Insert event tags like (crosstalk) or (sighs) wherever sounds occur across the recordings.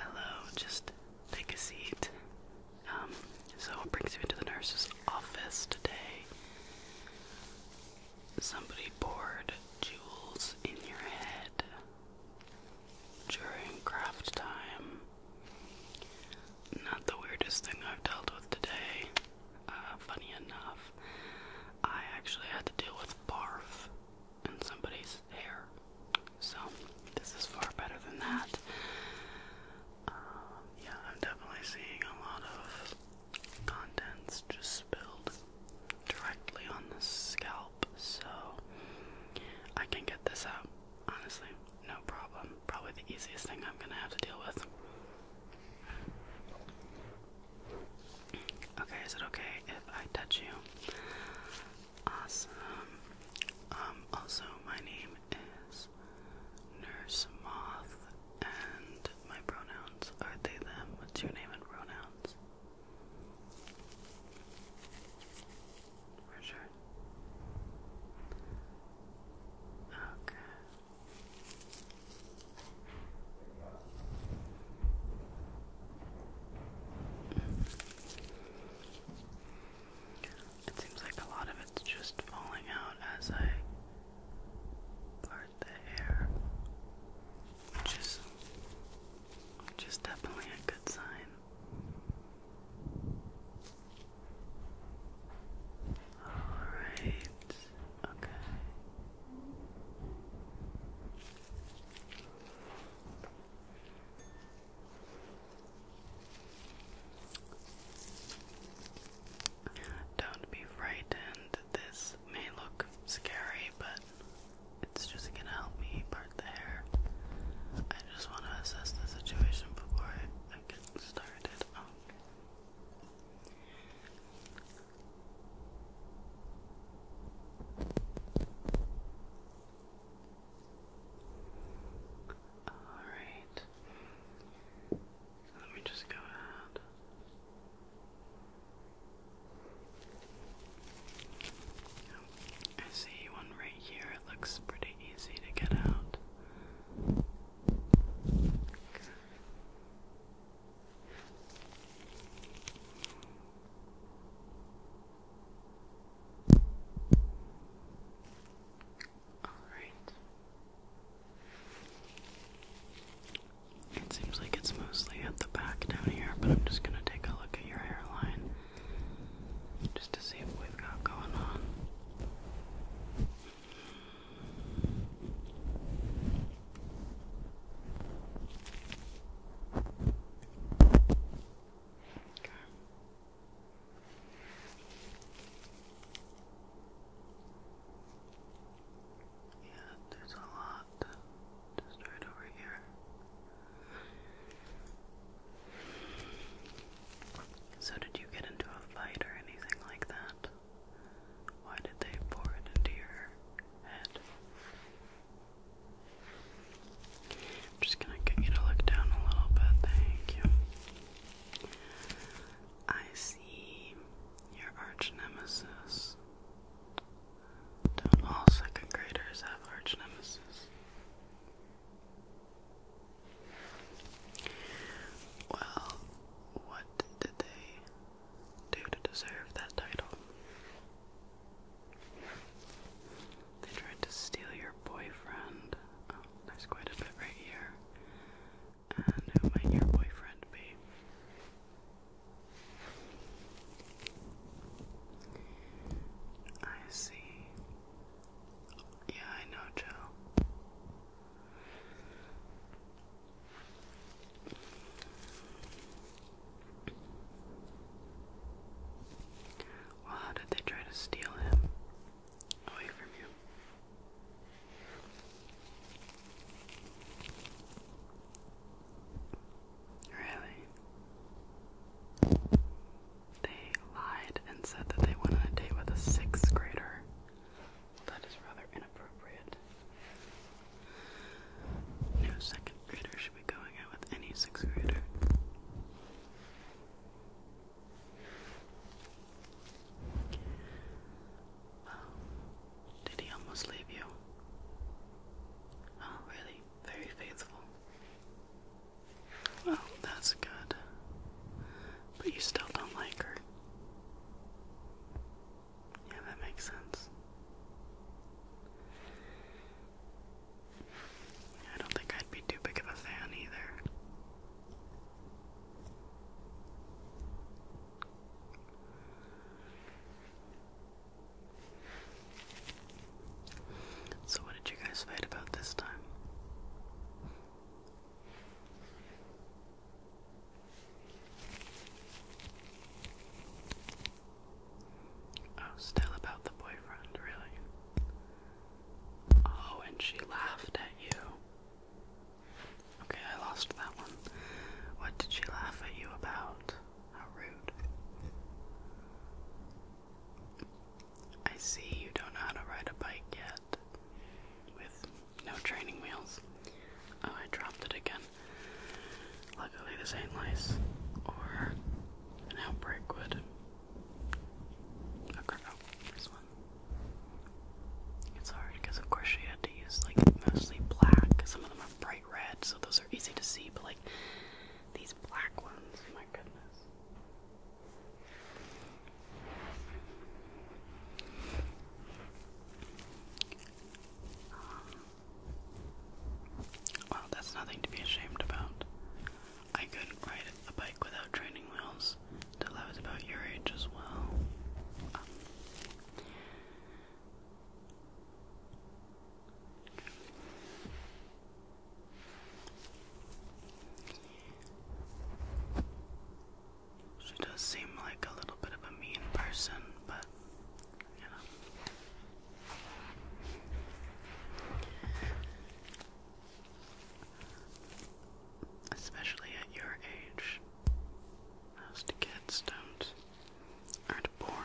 Hello, just take a seat. Um, so what brings you into the nurse's office today? Somebody poured jewels in your head during craft time. Not the weirdest thing I've dealt with today. Uh, funny enough, I actually had to deal with barf in somebody's hair. So this is far better than that. Um, yeah, I'm definitely seeing a lot of contents just spilled directly on the scalp, so I can get this out, honestly, no problem. Probably the easiest thing I'm gonna have to deal with. Okay, is it okay if I touch you? Awesome. Um, also, my name is Nurse Moth, and my pronouns are they, them. What's your name and pronouns? For sure. Okay. It seems like a lot of it's just falling out as I part the hair, which is, which definitely a good sign. Alright, okay. Don't be frightened. This may look scary, but it's just gonna help me part the hair. I just want to assess the situation before I get started. Um, Alright. Let me just go ahead. I see one right here. It looks pretty easy to get out. All right. It seems like it's mostly at the back down here, but I'm just going to take a look at your hairline just to see what we've got going on. Okay. Yeah, there's a lot just right over here. So, did you get into a fight or anything like that? Why did they pour it into your head? I'm just gonna get you to look down a little bit. Thank you. I see your arch nemesis. Don't all second graders have arch nemesis? Well, what did they do to deserve that title? They tried to steal your boyfriend. Oh, there's quite a bit right here. And who might your boyfriend be? I see. Yeah, I know, Joe. Well, how did they try to steal him away from you? Really? They lied and said that they went on a date with a sixth grader. That is rather inappropriate. No second grader should be going out with any sixth grader. Well, did he almost leave you? Oh, really? Very faithful. Well, that's good. But you still don't like her. Yeah, that makes sense. I don't think I'd be too big of a fan either. So, what did you guys fight about this time? Oh, still about the boyfriend, really? Oh, and she laughed at you. Okay, I lost that one. What did she laugh at you about? How rude. I see you don't know how to ride a bike yet. With no training wheels. Oh, I dropped it again. Luckily, this ain't lice or an outbreak would. Okay, oh, this one. It's hard because, of course, she had to use like mostly black. Some of them are bright red, so those are easy to see, but like these black ones, my goodness. Um, well, that's nothing to be ashamed about. I couldn't ride a bike without training wheels till I was about your age as well. Um, she does seem like a little bit of a mean person, but Especially at your age, most kids don't aren't born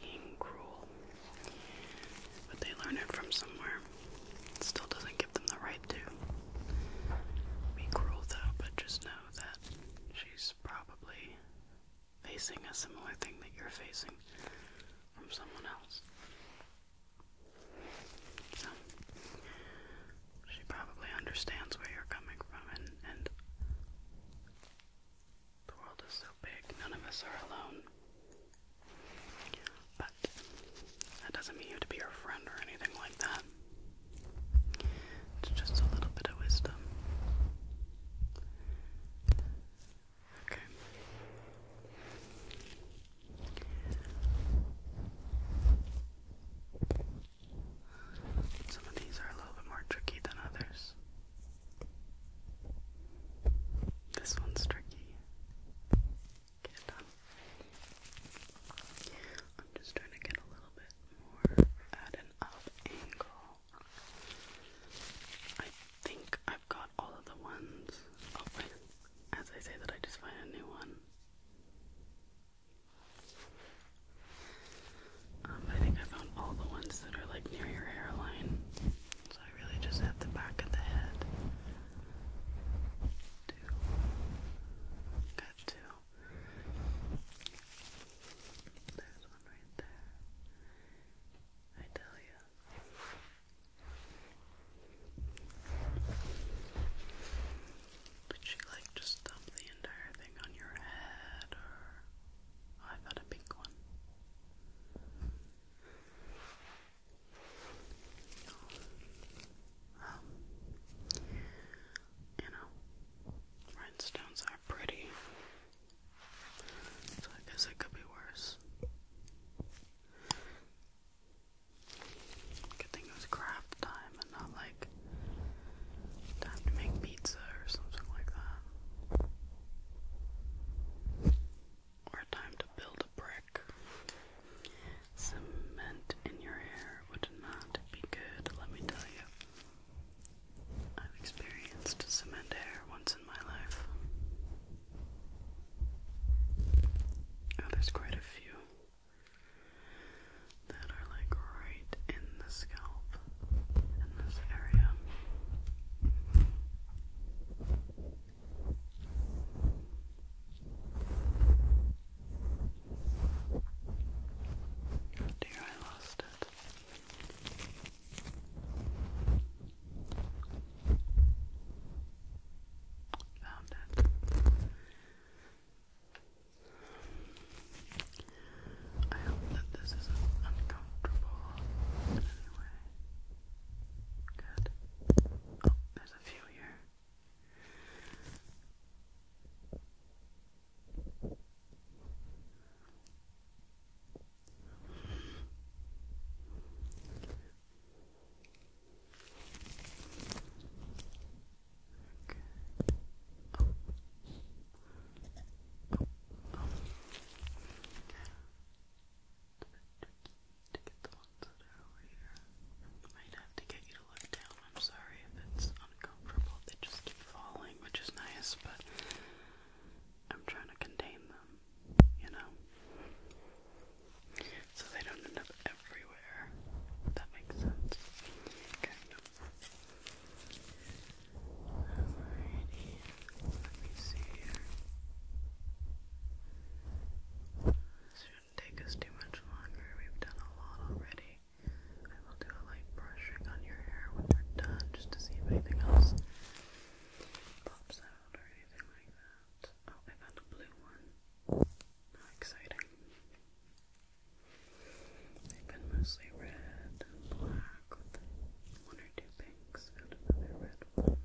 being cruel, but they learn it from somewhere. It still doesn't give them the right to be cruel, though. But just know that she's probably facing a similar thing that you're facing from someone else. So, she probably understands where you're coming from, and, and the world is so big, none of us are alone. But that doesn't mean you have to be her friend or anything like that. It's just a little bit of wisdom. Okay. Some of these are a little bit more tricky than others. This one's tricky. I'm just trying to get a little bit more at an up angle. I think I've got all of the ones. Oh, As I say that, I just find a new one. Um, I think I found all the ones that are like near your hairline. So I really just hit the back of the head. Two. Got two. There's one right there. I tell you, would you like to stop the entire thing on your head, or oh, I've got a pink one. you know, rhinestones are pretty. So I guess it could be worse. Good thing it was craft time and not like time to make pizza or something like that. Or time to build a brick. Cement in your hair would not be good, let me tell you. I've experienced cement hair once in my life. Oh, there's quite a few that are like right in the scalp in this area. Dear, I lost it. Found it. I hope that this isn't uncomfortable in Good. Oh, there's a few here. Oh. Oh. Oh. To get the ones that are over here. Might have to get you to look down. I'm sorry if it's uncomfortable. They just keep falling, which is nice, but I'm trying to contain them you know? So they don't end up everywhere. that makes sense. Kind Alrighty. Let me see here. This shouldn't take us too much longer. We've done a lot already. I will do a light brushing on your hair when we're done just to see if anything else pops out or anything like that. Oh, I found a blue one. How exciting. They've been mostly red and black one or two pinks and another red one.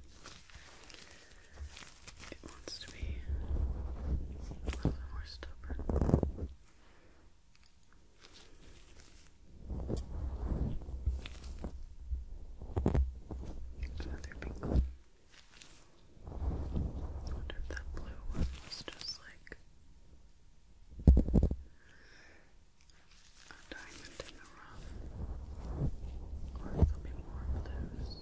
It wants to be a little more stubborn. Another pink one. wonder if that blue one was just like a diamond in the rough. Or if there'll be more of those.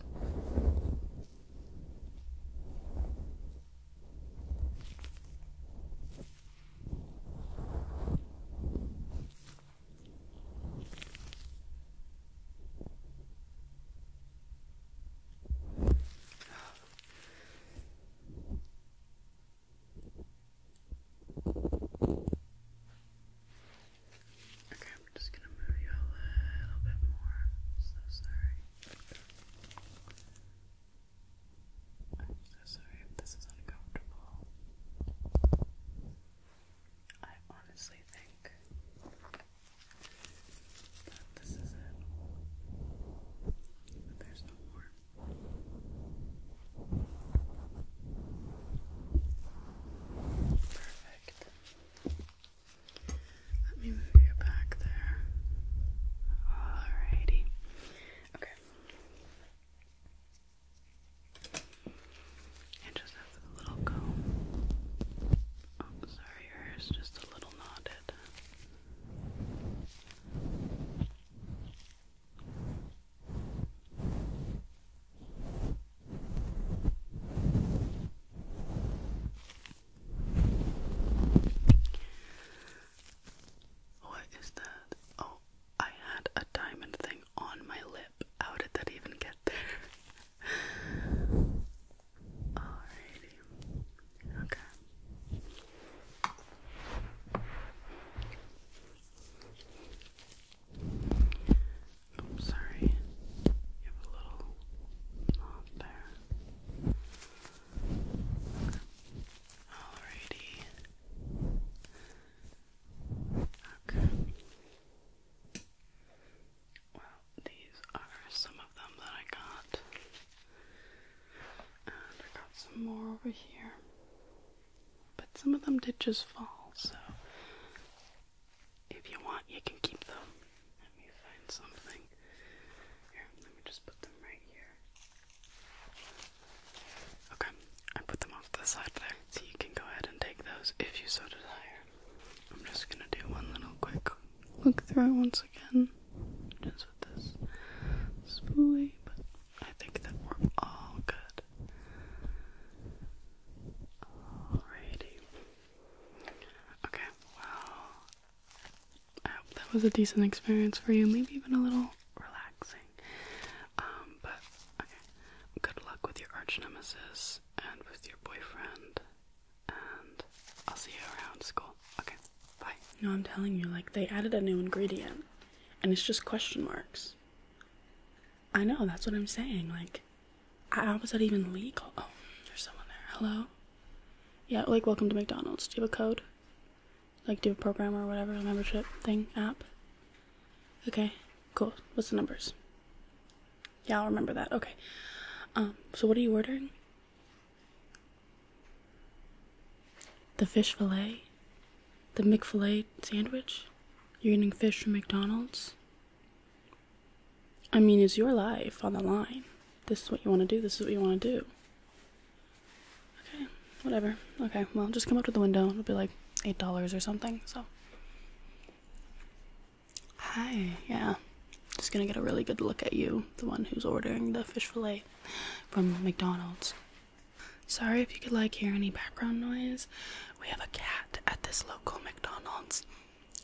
Okay, I'm just gonna move you a little bit more. I'm so sorry. I'm so sorry this is uncomfortable. I honestly think that this is it. there's no more. Perfect. Let me move you back there. Alrighty. Okay. It just has a little comb. Oh, sorry, her is just a little knotted. What is that? Oh, I had a diamond thing on my lip how did that even get there? Alrighty. Okay. I'm sorry. You a little knot there. Alrighty. Okay. Well, these are some of them that I got. And I got some more over here. But some of them did just fall, so if you want, you can keep them. Let me find something. Here, let me just put them right here. Okay, I put them off to the side there, so you can go ahead and take those if you so desire. I'm just gonna do one little quick look through it once again, just with this spoolie, but I think that we're all good. Alrighty. Okay, well, I hope that was a decent experience for you, maybe even a little relaxing. Um, but okay, good luck with your arch nemesis and with your boyfriend, and I'll see you around school. Okay, bye. No, I'm telling you, like, they added a new ingredient, and it's just question marks. I know, that's what I'm saying. Like, how was that even legal? Oh, there's someone there. Hello? Yeah, like, welcome to McDonald's. Do you have a code? Like, do a program or whatever, membership thing, app? Okay, cool. What's the numbers? Yeah, I'll remember that. Okay. Um, so what are you ordering? The fish fillet? The McFillet sandwich? You're eating fish from McDonald's? I mean, is your life on the line? This is what you want to do. This is what you want to do. Okay, whatever. Okay, well, just come up to the window. It'll be like $8 or something, so. Hi, yeah. Just gonna get a really good look at you, the one who's ordering the fish fillet from McDonald's. Sorry if you could like hear any background noise. We have a cat at this local McDonald's.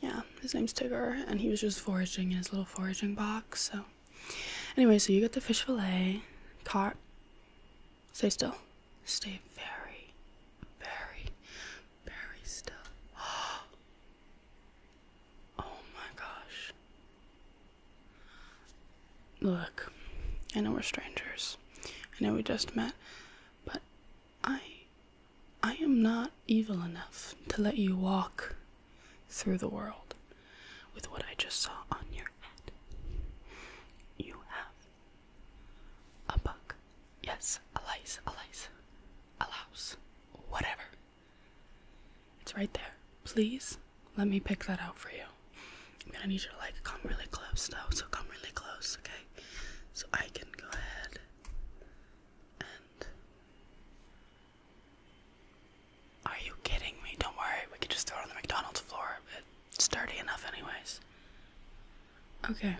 Yeah, his name's Tigger, and he was just foraging in his little foraging box. So, anyway, so you got the fish fillet, caught. Stay still. Stay very, very, Berry stuff. (gasps) Oh my gosh. Look, I know we're strangers. I know we just met, but I I am not evil enough to let you walk through the world with what I just saw on your head. You have a buck. Yes, a lice, a lice, a louse, whatever. It's right there. Please let me pick that out for you. I'm gonna need you to like come really close though, so come really close, okay? So I can go ahead and. Are you kidding me? Don't worry, we could just throw it on the McDonald's floor. It's sturdy enough, anyways. Okay,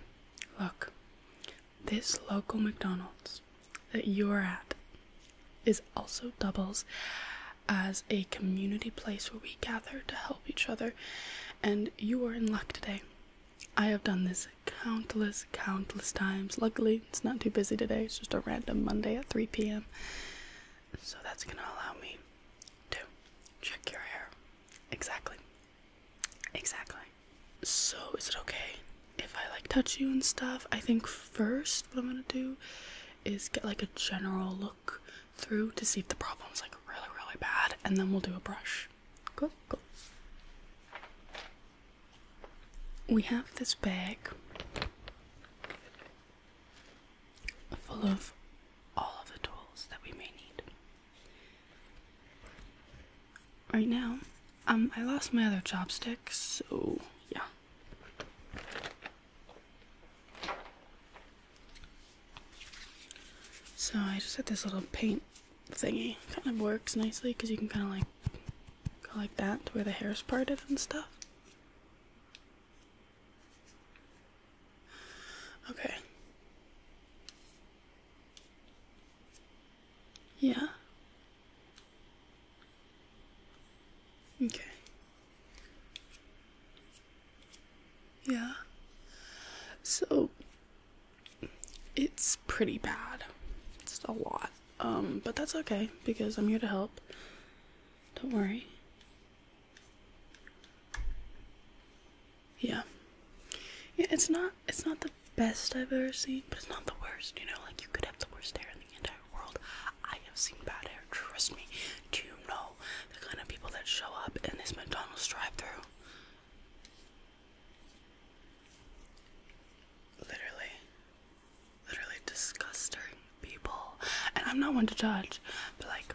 look, this local McDonald's that you are at is also doubles as a community place where we gather to help each other, and you are in luck today. I have done this countless, countless times. Luckily, it's not too busy today, it's just a random Monday at 3 p.m. So that's gonna allow me to check your hair. Exactly. Exactly. So, is it okay if I like touch you and stuff? I think first what I'm gonna do is get like a general look through to see if the problem's like really, really bad, and then we'll do a brush. Cool, cool. We have this bag full of all of the tools that we may need. Right now, um, I lost my other chopsticks, so yeah. So I just had this little paint thingy. Kind of works nicely because you can kind of like go like that to where the hair's parted and stuff. Okay. Yeah. Okay. Yeah. So it's pretty bad. It's a lot. Um, but that's okay because I'm here to help. Don't worry yeah yeah it's not it's not the best i've ever seen but it's not the worst you know like you could have the worst hair in the entire world i have seen bad hair trust me do you know the kind of people that show up in this mcdonald's drive-through literally literally disgusting people and i'm not one to judge but like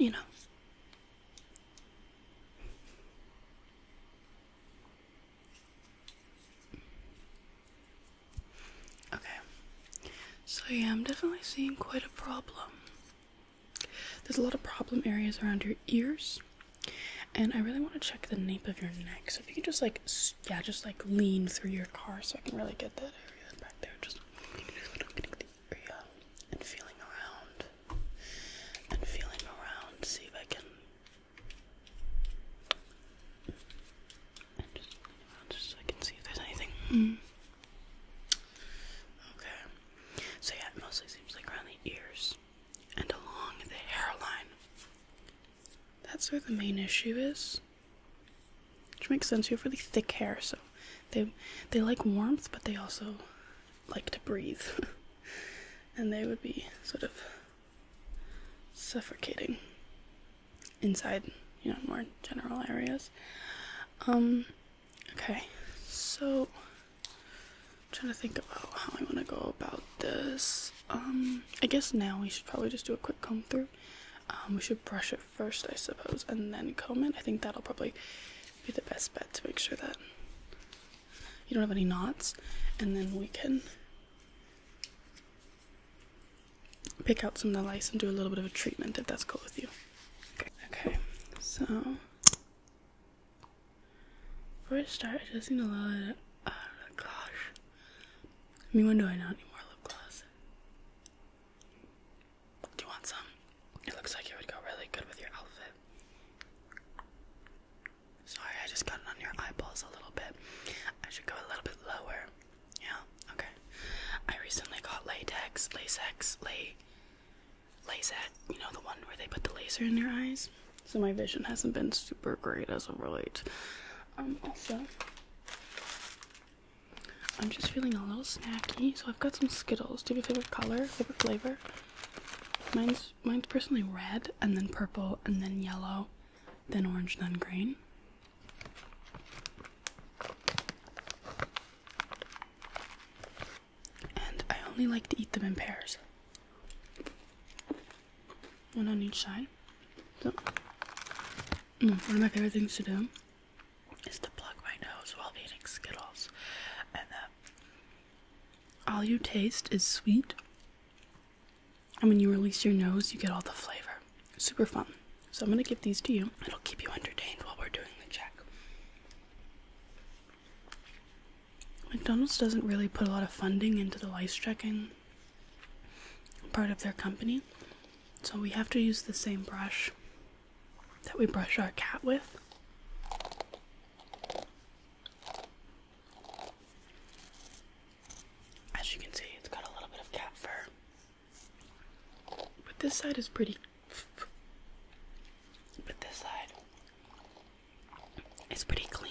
you know Okay. So yeah, I'm definitely seeing quite a problem. There's a lot of problem areas around your ears. And I really want to check the nape of your neck. So if you could just like, yeah, just like lean through your car so I can really get that area back there. Just and feeling around and feeling around. See if I can. And just around just so I can see if there's anything. Okay. So yeah, it mostly seems like around the ears and along the hairline. That's where the main issue is. Which makes sense. You have really thick hair, so they they like warmth, but they also like to breathe, (laughs) and they would be sort of suffocating inside, you know, more general areas. Um, okay, so I'm trying to think about how I want to go about this. Um, I guess now we should probably just do a quick comb through. Um, we should brush it first, I suppose, and then comb it. I think that'll probably be the best bet to make sure that you don't have any knots and then we can pick out some of the lice and do a little bit of a treatment if that's cool with you okay, okay. so before I start just need a little oh uh, gosh mean when do I not more lip gloss do you want some it looks like it would go really good with your outfit Sorry, I just got it on your eyeballs a little bit. I should go a little bit lower. Yeah, okay. I recently got latex, lasex, lay, lasex. You know the one where they put the laser in your eyes. So my vision hasn't been super great as of late. Um, also, I'm just feeling a little snacky, so I've got some Skittles. Do you a favorite color, favorite flavor? Mine's mine's personally red and then purple and then yellow, then orange, then green. And I only like to eat them in pairs. One on each side. So mm, one of my favorite things to do is to plug my nose while eating Skittles. And that uh, all you taste is sweet, and when you release your nose, you get all the flavor. Super fun. So, I'm going to give these to you. It'll keep you entertained while we're doing the check. McDonald's doesn't really put a lot of funding into the lice checking part of their company, so we have to use the same brush that we brush our cat with. As you can see, it's got a little bit of cat fur. But this side is pretty. But this side is pretty clean.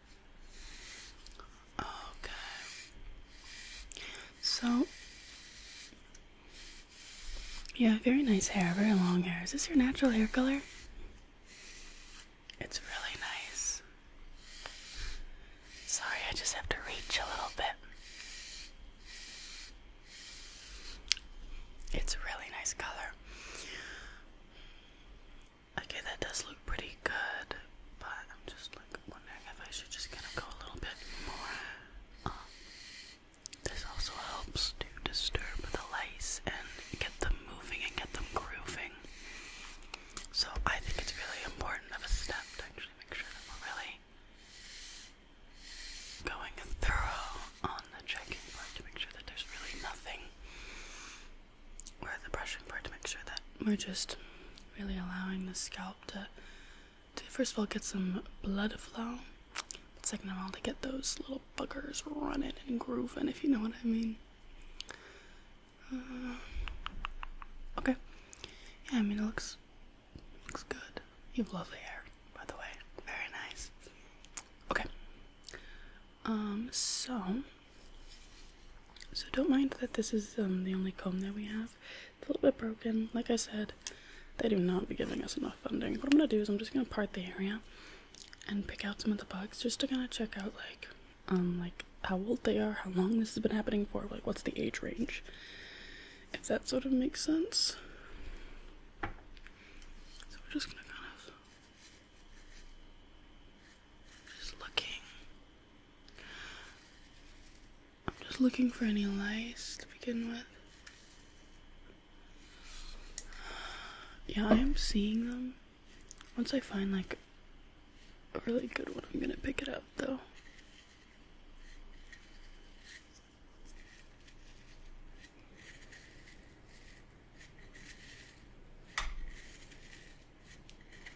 Okay. So, yeah, very nice hair, very long hair. Is this your natural hair color? It's really nice. Sorry, I just have to reach a little bit. It's a really nice color. Okay, that does look pretty good. But I'm just like wondering if I should just kind of go a little bit more. Um, this also helps to disturb the lice and get them moving and get them grooving. So I think it's really important of a step to actually make sure that we're really going thorough on the checking part to make sure that there's really nothing. Or the brushing part to make sure that we're just really allowing the scalp to, to first of all get some blood flow second of all to get those little buggers running and grooving if you know what i mean uh, okay yeah i mean it looks looks good you have lovely hair by the way very nice okay um so so don't mind that this is um, the only comb that we have. It's a little bit broken. Like I said, they do not be giving us enough funding. What I'm gonna do is I'm just gonna part the area and pick out some of the bugs just to kind of check out like um like how old they are, how long this has been happening for, like what's the age range. If that sort of makes sense. So we're just gonna kind of just looking. I'm just looking for any lice to begin with. Yeah, I am seeing them. Once I find like a really good one, I'm gonna pick it up though.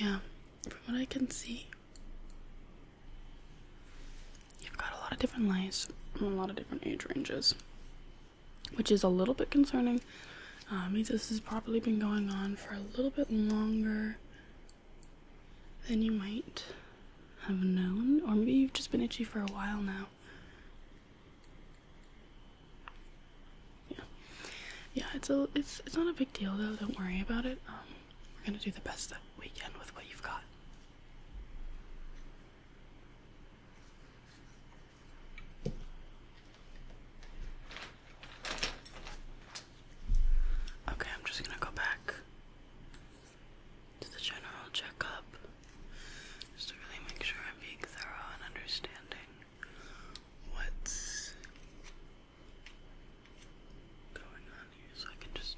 yeah, from what I can see, you've got a lot of different lights from a lot of different age ranges, which is a little bit concerning. Um, means this has probably been going on for a little bit longer then you might have known, or maybe you've just been itchy for a while now. Yeah, yeah. It's a it's it's not a big deal though. Don't worry about it. Um, we're gonna do the best that we can with what you've got. Okay, I'm just gonna go back to the general checkup just to really make sure I'm being thorough and understanding what's going on here so I can just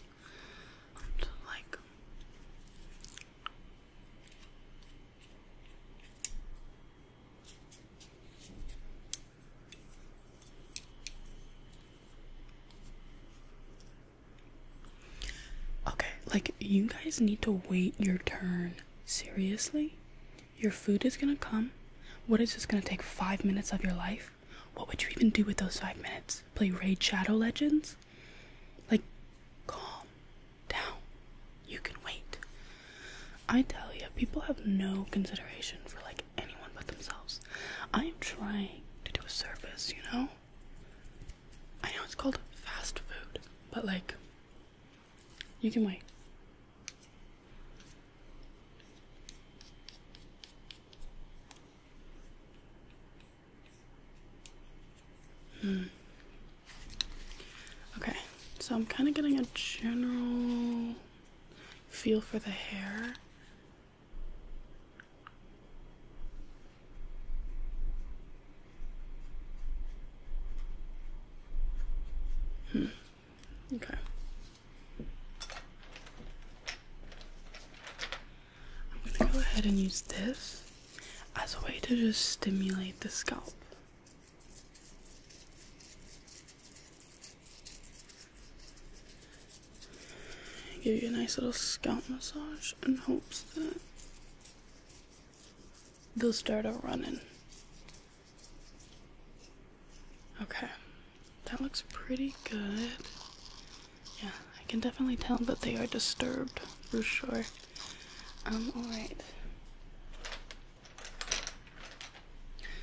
like Okay, like you guys need to wait your turn. Seriously? Your food is gonna come. What is this gonna take five minutes of your life? What would you even do with those five minutes? Play Raid Shadow Legends? Like, calm down. You can wait. I tell you, people have no consideration for like anyone but themselves. I am trying to do a service, you know? I know it's called fast food, but like, you can wait. Hmm. Okay, so I'm kind of getting a general feel for the hair. Hmm. Okay. I'm gonna go ahead and use this as a way to just stimulate the scalp. Give you a nice little scalp massage in hopes that they'll start a running. Okay, that looks pretty good. Yeah, I can definitely tell that they are disturbed for sure. I'm um, all alright.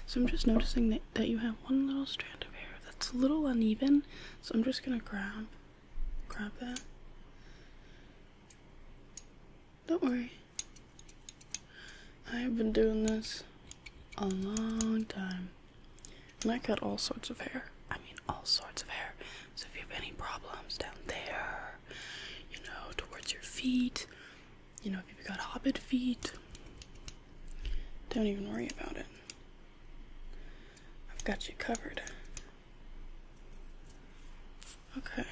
So I'm just noticing that, that you have one little strand of hair it's a little uneven, so I'm just gonna grab grab that. Don't worry. I have been doing this a long time. And I cut all sorts of hair. I mean all sorts of hair. So if you have any problems down there, you know, towards your feet, you know, if you've got hobbit feet, don't even worry about it. I've got you covered. Okay.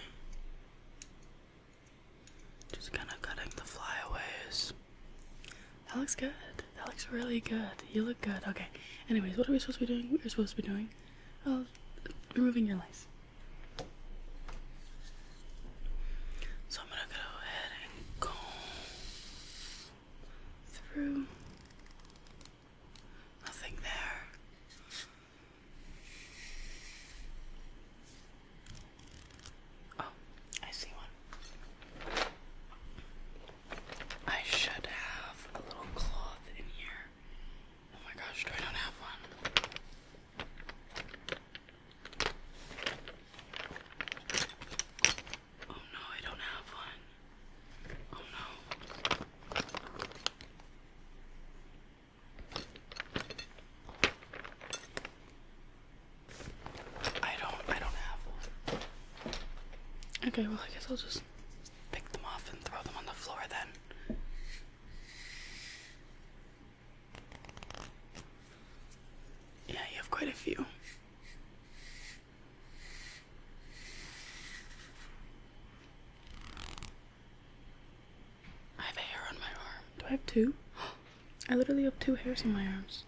Just kind of cutting the flyaways. That looks good. That looks really good. You look good. Okay. Anyways, what are we supposed to be doing? We're supposed to be doing, oh, removing your lace. So I'm gonna go ahead and comb through. Nothing there. Oh, I see one. I should have a little cloth in here. Oh my gosh, do I not have one? Oh no, I don't have one. Oh no. I don't I don't have one. Okay, well I guess I'll just pick them off and throw them on the floor then. Yeah, you have quite a few. I have hair on my arm. Do I have two? (gasps) I literally have two hairs on my arms.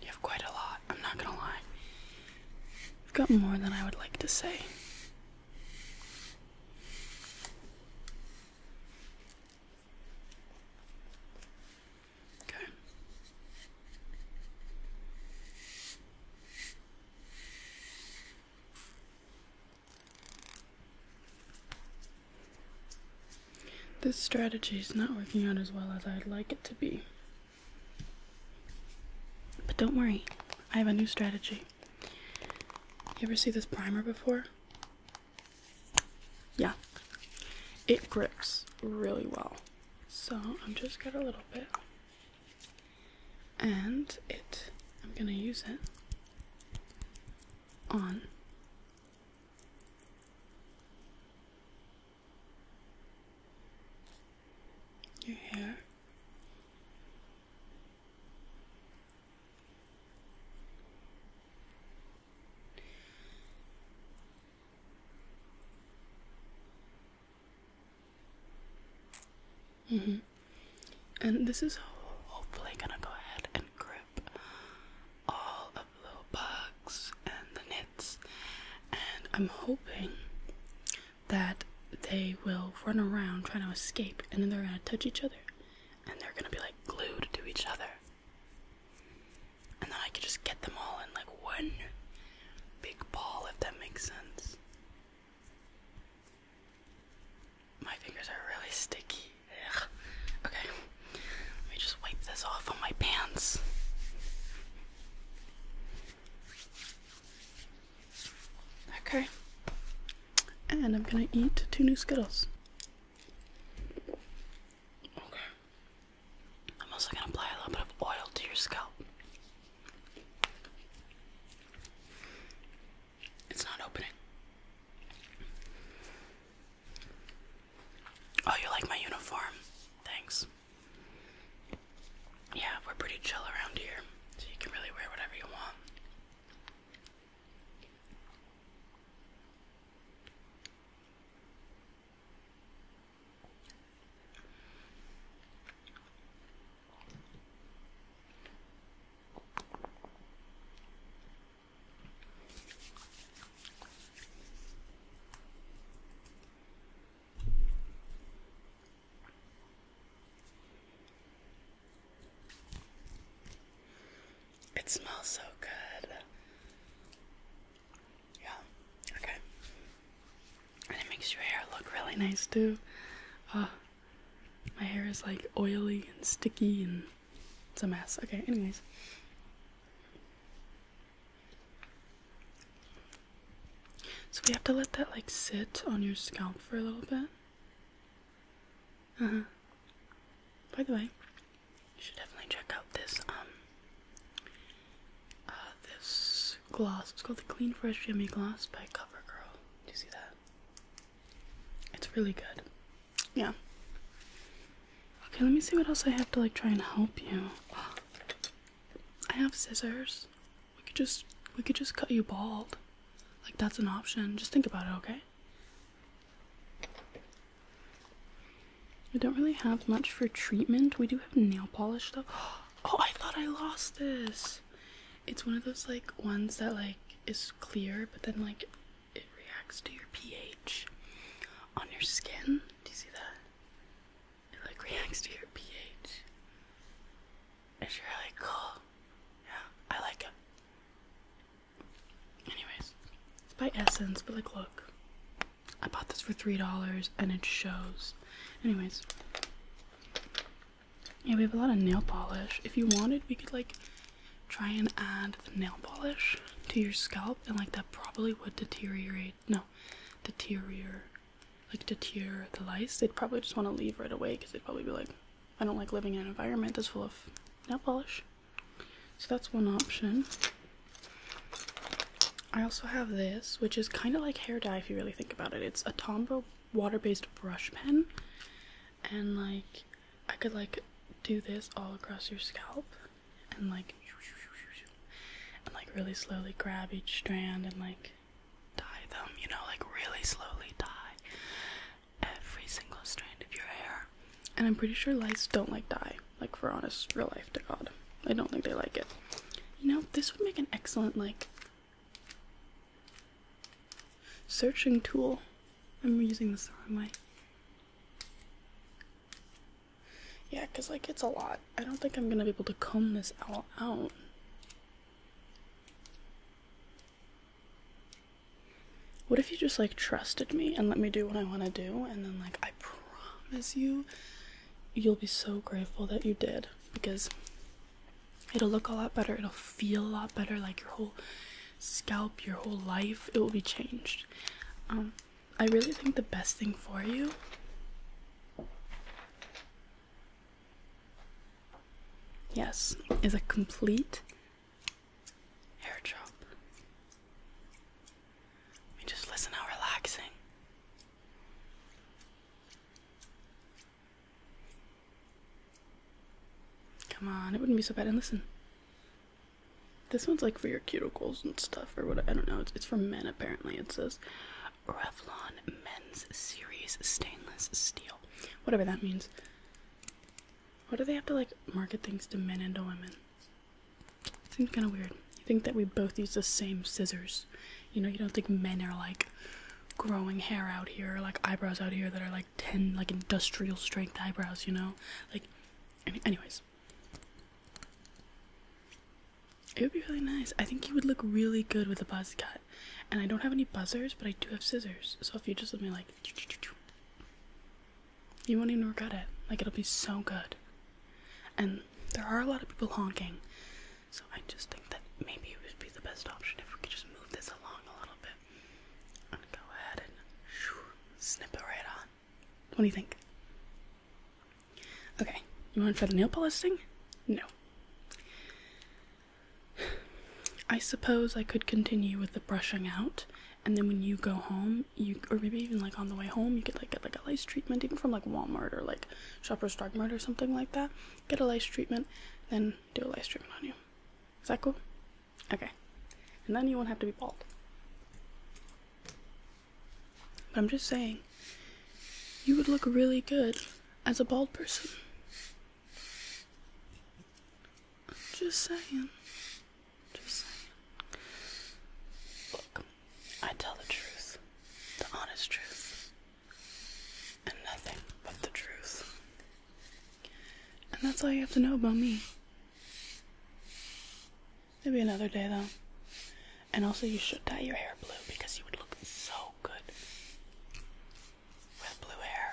You have quite a lot, I'm not gonna lie. You've got more than I would like to say. Okay. This strategy is not working out as well as I'd like it to be. But don't worry, I have a new strategy. You ever see this primer before? Yeah. It grips really well. So I'm just got a little bit. And it, I'm gonna use it on your hair. -hmm. And this is hopefully gonna go ahead and grip all of the little bugs and the nits, and I'm hoping that they will run around trying to escape, and then they're gonna touch each other, and they're gonna be like glued to each other, and then I can just get them all in like one big ball, if that makes sense. My fingers are really sticky. Okay. Let me just wipe this off on my pants. Okay. And I'm gonna eat two new Skittles. Okay. I'm also gonna apply a little bit of oil to your scalp. It's not opening. Oh, you like my uniform? Thanks. Yeah, we're pretty chill around here, so you can really wear whatever you want. It smells so good. Yeah, okay. And it makes your hair look really nice too. Uh, my hair is like oily and sticky and it's a mess. Okay, anyways. So we have to let that like sit on your scalp for a little bit. Uh-huh. By the way, you should definitely check out this um uh this gloss. It's called the Clean Fresh Yummy Gloss by CoverGirl. Do you see that? It's really good. Yeah. Okay, let me see what else I have to like try and help you. I have scissors. We could just we could just cut you bald. Like that's an option. Just think about it, okay? We don't really have much for treatment. We do have nail polish though. (gasps) Oh, I thought I lost this. It's one of those like ones that like is clear, but then like it reacts to your pH on your skin. Do you see that? It like reacts to your pH. It's really cool. Yeah, I like it. Anyways, it's by Essence, but like, look. I bought this for $3 and it shows. Anyways. Yeah, we have a lot of nail polish. If you wanted, we could like try and add the nail polish to your scalp and like that probably would deteriorate no, the terrier, like the tear, the lice. They'd probably just want to leave right away because they'd probably be like, I don't like living in an environment that's full of nail polish. So that's one option. I also have this, which is kind of like hair dye if you really think about it. It's a Tombow water-based brush pen, and like I could like do this all across your scalp and like and like really slowly grab each strand and like tie them, you know, like really slowly tie every single strand of your hair. And I'm pretty sure lice don't like dye, like for honest real life to God. I don't think they like it. You know, this would make an excellent like searching tool. I'm using this the wrong way. Yeah, because, like, it's a lot. I don't think I'm gonna be able to comb this all out. What if you just, like, trusted me and let me do what I want to do, and then, like, I promise you, you'll be so grateful that you did because it'll look a lot better, it'll feel a lot better, like, your whole scalp, your whole life, it will be changed. Um, I really think the best thing for you yes is a complete hair chop. I just listen how relaxing. Come on, it wouldn't be so bad and listen. This one's like for your cuticles and stuff, or what? I don't know. It's, it's for men apparently. It says Revlon Men's Series Stainless Steel, whatever that means. What do they have to like market things to men and to women? Seems kind of weird. You think that we both use the same scissors? You know, you don't think men are like growing hair out here, like eyebrows out here that are like ten like industrial strength eyebrows. You know, like, anyways. It would be really nice. I think you would look really good with a buzz cut. And I don't have any buzzers, but I do have scissors. So if you just let me like you won't even regret it. Like it'll be so good. And there are a lot of people honking. So I just think that maybe it would be the best option if we could just move this along a little bit. I'm gonna go ahead and snip it right on. What do you think? Okay, you want to try the nail polish thing? No. (sighs) I suppose I could continue with the brushing out, and then when you go home, you or maybe even like on the way home, you could like get like a lice treatment, even from like Walmart or like Shoppers Drug Mart or something like that. Get a lice treatment, then do a lice treatment on you. Is that cool? Okay, and then you won't have to be bald. But I'm just saying, you would look really good as a bald person. Just saying. Just saying. Look, I tell the truth, the honest truth, and nothing but the truth. And that's all you have to know about me. Maybe another day though. And also, you should dye your hair blue because you would look so good with blue hair.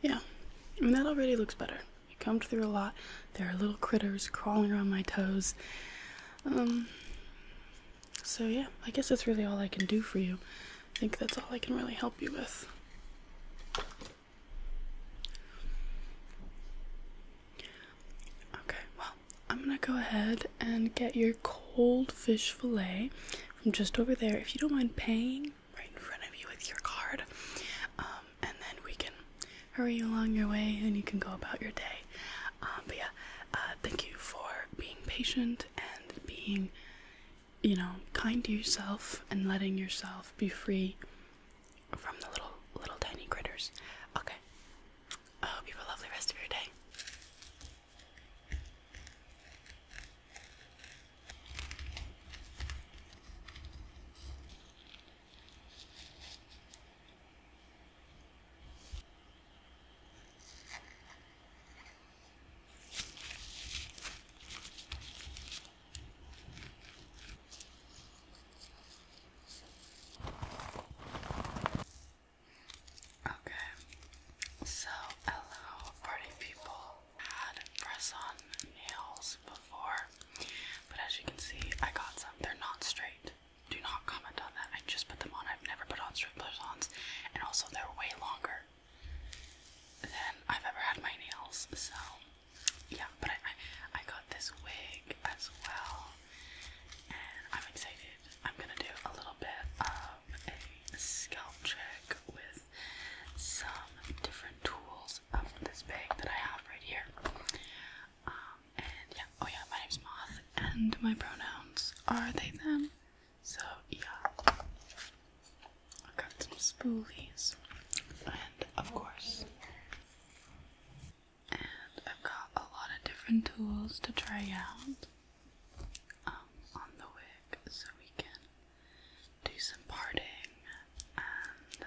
Yeah, I mean, that already looks better. I combed through a lot. There are little critters crawling around my toes. Um, so yeah, I guess that's really all I can do for you. I think that's all I can really help you with. Okay, well, I'm gonna go ahead and get your cold fish fillet from just over there. If you don't mind paying right in front of you with your card, um, and then we can hurry you along your way and you can go about your day. Um, but yeah, uh, thank you for being patient and being, you know, kind to yourself and letting yourself be free from the little little tiny critters. Okay. I hope you have a lovely rest of your day. Okay, so hello, party people. Had press on nails before, but as you can see, I got some. They're not straight. Do not comment on that. I just put them on. I've never put on straight press ons, and also they're way longer than I've ever had my nails, so yeah, but I, I got this wig as well, and I'm excited. I'm gonna do a little bit of a scalp check with some different tools of this bag that I have right here. Um, and yeah, oh yeah, my name's Moth, and my pronouns are they them. So yeah, I got some spoolies, and of course and I've got a lot of different tools to try out um, on the wig so we can do some parting and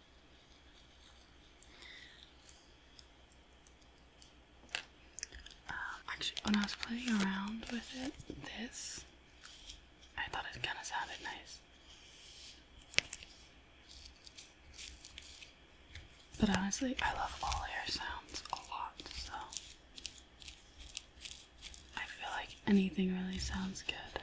Um, actually, when I was playing around with it, this, I thought it kind of sounded nice. But honestly, I love all air sounds a lot, so I feel like anything really sounds good.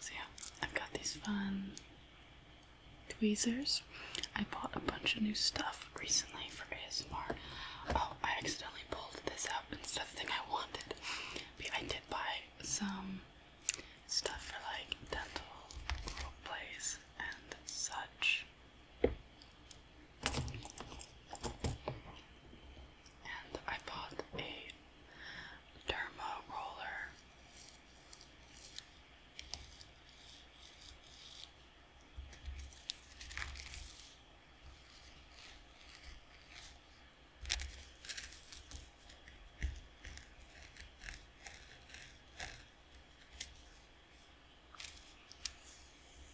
So yeah, i got these fun tweezers. I bought a bunch of new stuff recently for ASMR. Oh, I accidentally pulled this out instead of the thing I wanted. But I did buy some stuff for like dental plays and such and I bought a derma roller.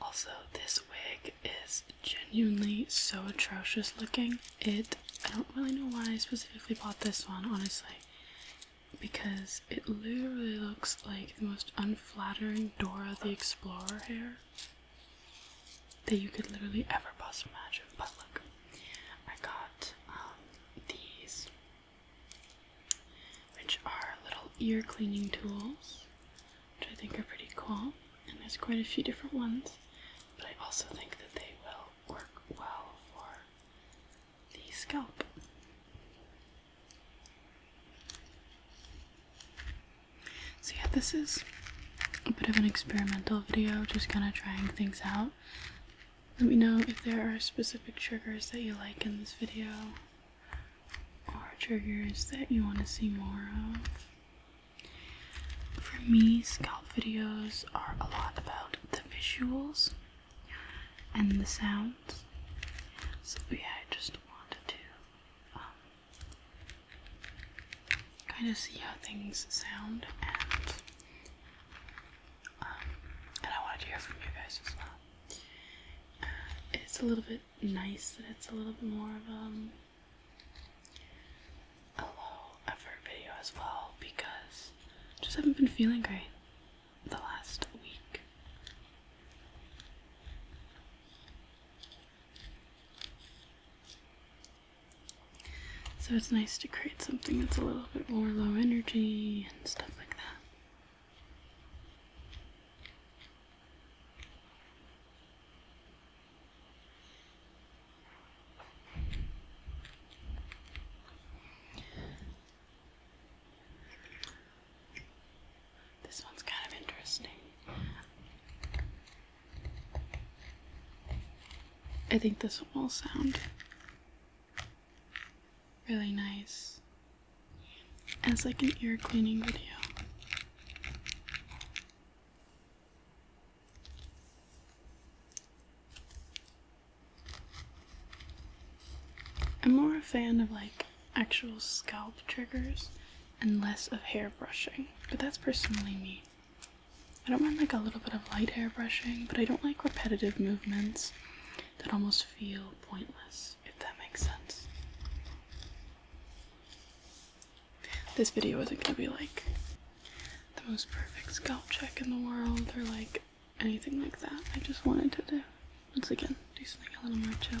Also, this wig is genuinely so atrocious looking. It, I don't really know why I specifically bought this one, honestly, because it literally looks like the most unflattering Dora the Explorer hair that you could literally ever possibly imagine. But look, I got um, these, which are little ear cleaning tools which I think are pretty cool. And there's quite a few different ones, but I also think that they will work well for the scalp. So yeah, this is a bit of an experimental video, just kind of trying things out. Let me know if there are specific triggers that you like in this video are triggers that you want to see more of. For me, scalp videos are a lot about the visuals and the sounds. So, yeah, I just wanted to um, kind of see how things sound, and, um, and I wanted to hear from you guys as well. Uh, it's a little bit nice that it's a little bit more of um, a low effort video as well because just haven't been feeling great the last week. So it's nice to create something that's a little bit more low energy and stuff like that. This one's kind of interesting. I think this will sound really nice as like an ear cleaning video. I'm more a fan of like actual scalp triggers and less of hair brushing, but that's personally me. I don't mind like a little bit of light hair brushing, but I don't like repetitive movements that almost feel pointless if that makes sense. This video isn't gonna be like the most perfect scalp check in the world or like anything like that. I just wanted to do, once again, do something a little more chill.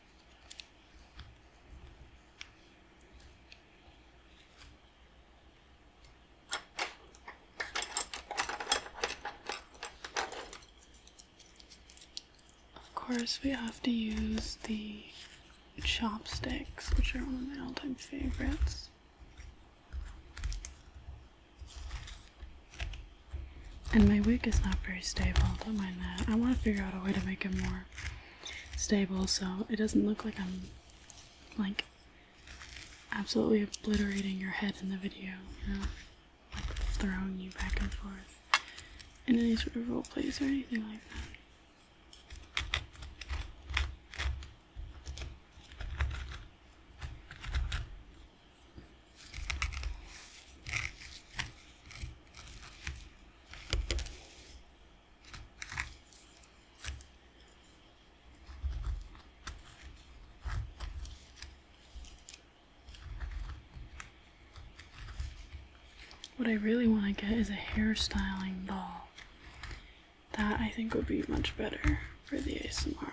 Of course, we have to use the chopsticks, which are one of my all time favorites. And my wig is not very stable, don't mind that. I want to figure out a way to make it more stable so it doesn't look like I'm like absolutely obliterating your head in the video, you know? Like throwing you back and forth in any sort of role plays or anything like that. What I really want to get is a hairstyling doll. That I think would be much better for the ASMR.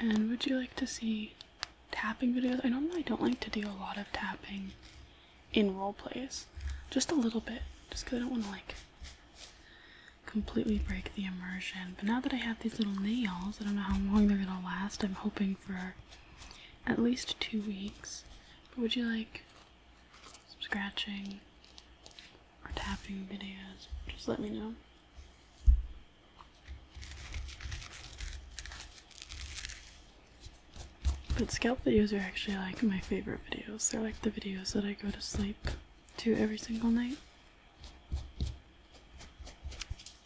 And would you like to see tapping videos? I normally don't like to do a lot of tapping in role plays, just a little bit, just because I don't want to like completely break the immersion. But now that I have these little nails, I don't know how long they're gonna last. I'm hoping for at least two weeks. But would you like some scratching or tapping videos? Just let me know. But scalp videos are actually like my favorite videos. They're like the videos that I go to sleep to every single night.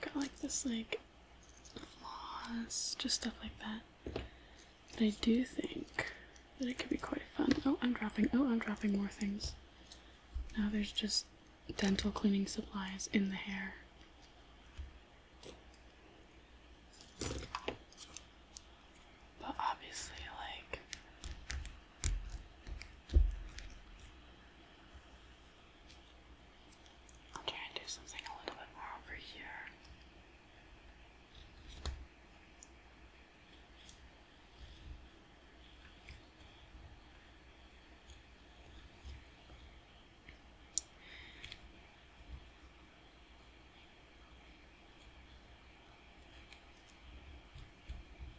Got like this like floss, just stuff like that. But I do think that it could be quite fun. Oh, I'm dropping. Oh, I'm dropping more things. Now there's just dental cleaning supplies in the hair. But obviously, like, I'll try and do something a little bit more over here.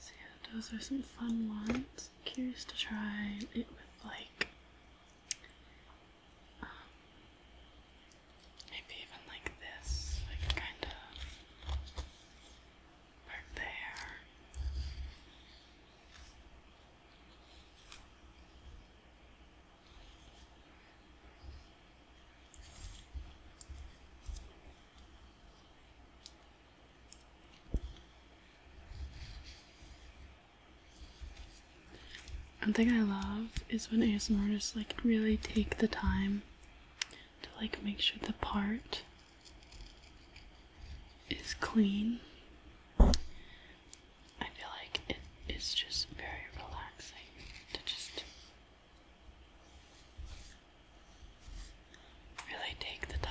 So yeah, those are some fun ones. curious to try it with like um, Maybe even like this, like kind of part there. One thing I love is when ASMRists like really take the time to like make sure the part is clean. I feel like it is just very relaxing to just really take the time.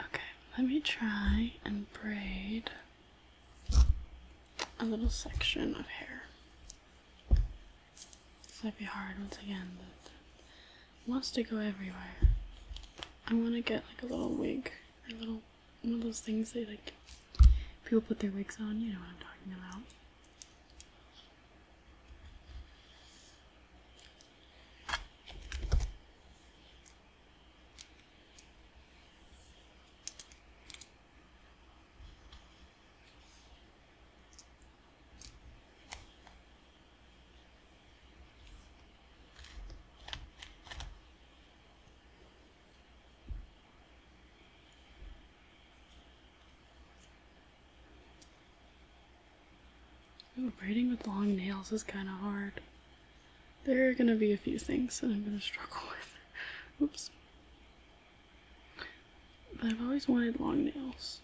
Okay, let me try and braid a little section of hair. This might be hard once again, wants to go everywhere. I want to get like a little wig, a little one of those things that like people put their wigs on. You know what I'm talking about. Ooh, braiding with long nails is kind of hard. There are going to be a few things that I'm going to struggle (laughs) with. Oops. But I've always wanted long nails.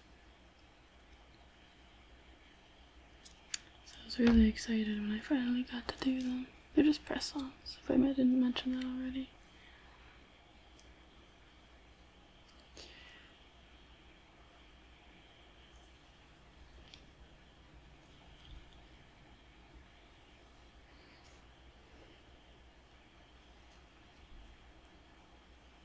So I was really excited when I finally got to do them. They're just press-ons, if I didn't mention that already.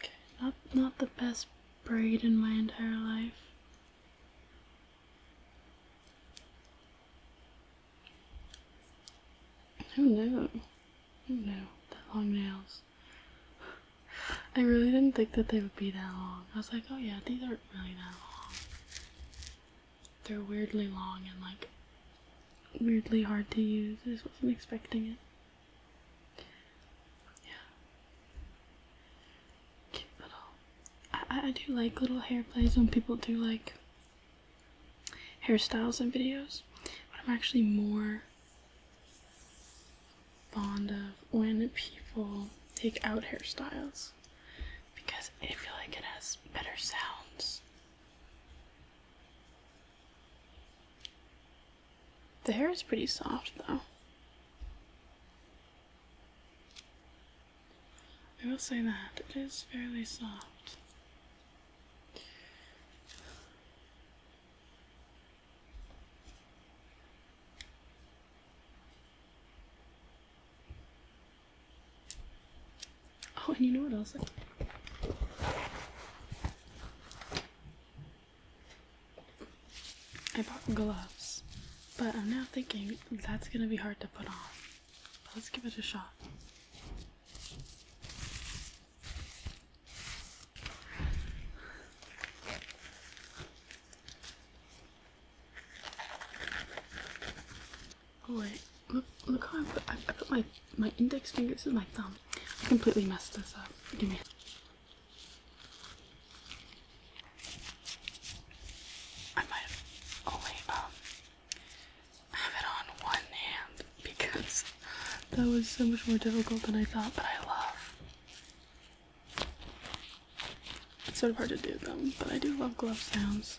Okay, not not the best braid in my entire life. Who knew? Who knew that long nails? I really didn't think that they would be that long. I was like, oh yeah, these aren't really that long. They're weirdly long and like weirdly hard to use. I just wasn't expecting it. Yeah. Cute little. I, I do like little hair plays when people do like hairstyles and videos, but I'm actually more fond of when people take out hairstyles because I feel like it has better sounds the hair is pretty soft though. I will say that it is fairly soft. Oh, and you know what else? I bought gloves, but I'm now thinking that's gonna be hard to put on. But let's give it a shot. Oh wait, look, look how I put, I, put my, my index finger, this is my thumb. I completely messed this up. Give me I might only um, have it on one hand because that was so much more difficult than I thought, but I love it's sort of hard to do them, but I do love glove sounds.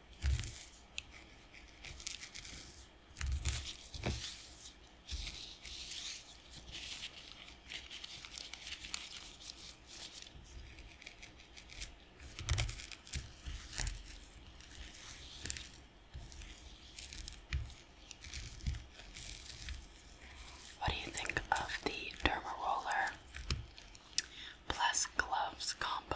What do you think of the derma roller plus gloves combo?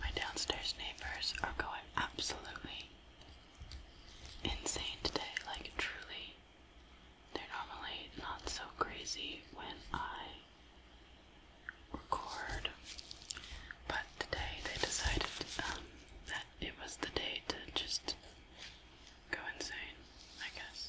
My downstairs neighbors are going absolutely insane today, like truly they're normally not so crazy when I record, but today they decided um, that it was the day to just go insane, I guess.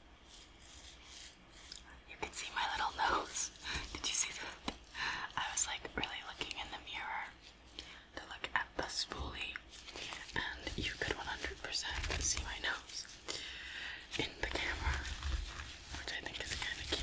You can see my little nose. (laughs) Did you see that? I was like really looking in the mirror to look at the spoolie, and you could 100% see my nose in the camera, which I think is kind of cute.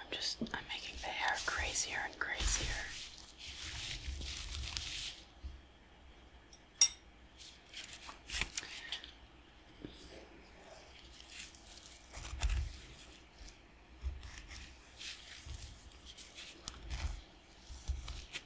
I'm just, I'm making the hair crazier and crazier.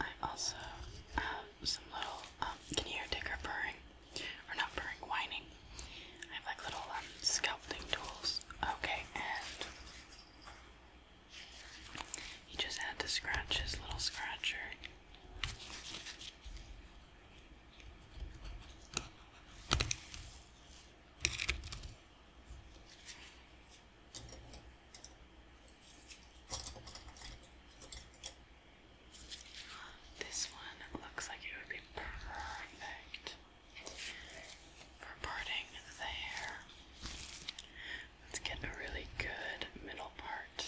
I also have uh, some little, um, can you hear Digger purring? Or not purring, whining. I have like little um, sculpting tools. Okay, and he just had to scratch his little scratcher. This one looks like it would be perfect for parting the hair. Let's get a really good middle part.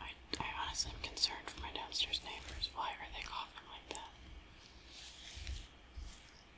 I, I honestly am concerned for my downstairs neighbors. Why are they coughing like that?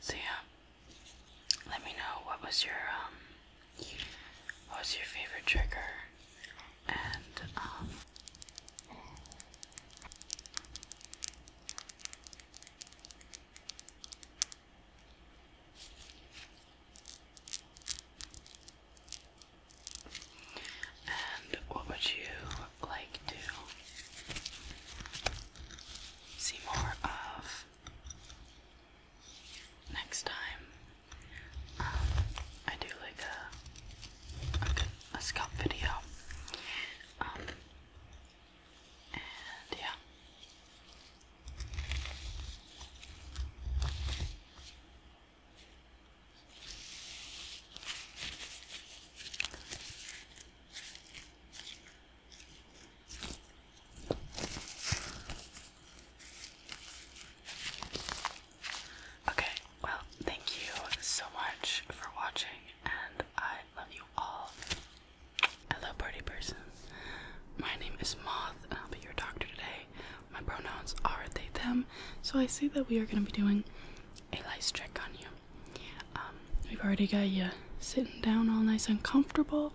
So yeah, let me know what was your um, what was your favorite trigger, and um, and what would you like to see more of next time? Um, I do like a a, good, a scalp video. Um, and yeah. Okay, well, thank you so much for watching, and I love you all. Hello, party person. My name is Moth, and I'll be your doctor today. My pronouns are they, them, so I see that we are going to be doing a lice check on you. Um, we've already got you sitting down all nice and comfortable,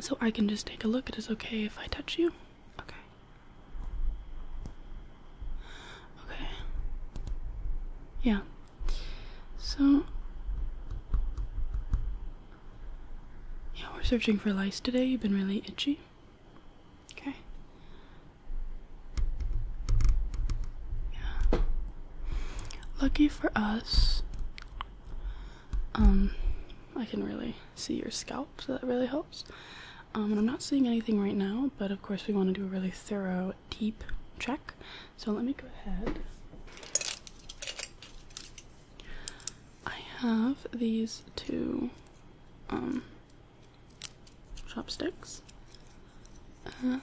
so I can just take a look. It is okay if I touch you. Okay. Okay. Yeah. So yeah, we're searching for lice today. You've been really itchy. Okay. Yeah. Lucky for us. Um, I can really see your scalp, so that really helps. Um, and I'm not seeing anything right now, but of course we want to do a really thorough deep check. So let me go ahead. I have these two um, chopsticks and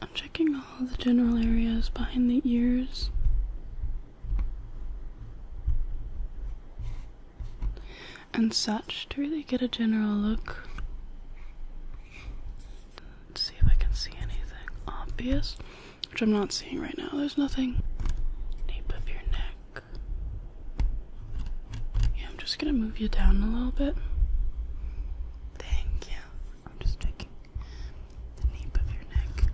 I'm checking all the general areas behind the ears. And such to really get a general look. see if I can see anything obvious, which I'm not seeing right now. There's nothing nape of your neck. Yeah, I'm just gonna move you down a little bit. Thank you. I'm just taking the nape of your neck.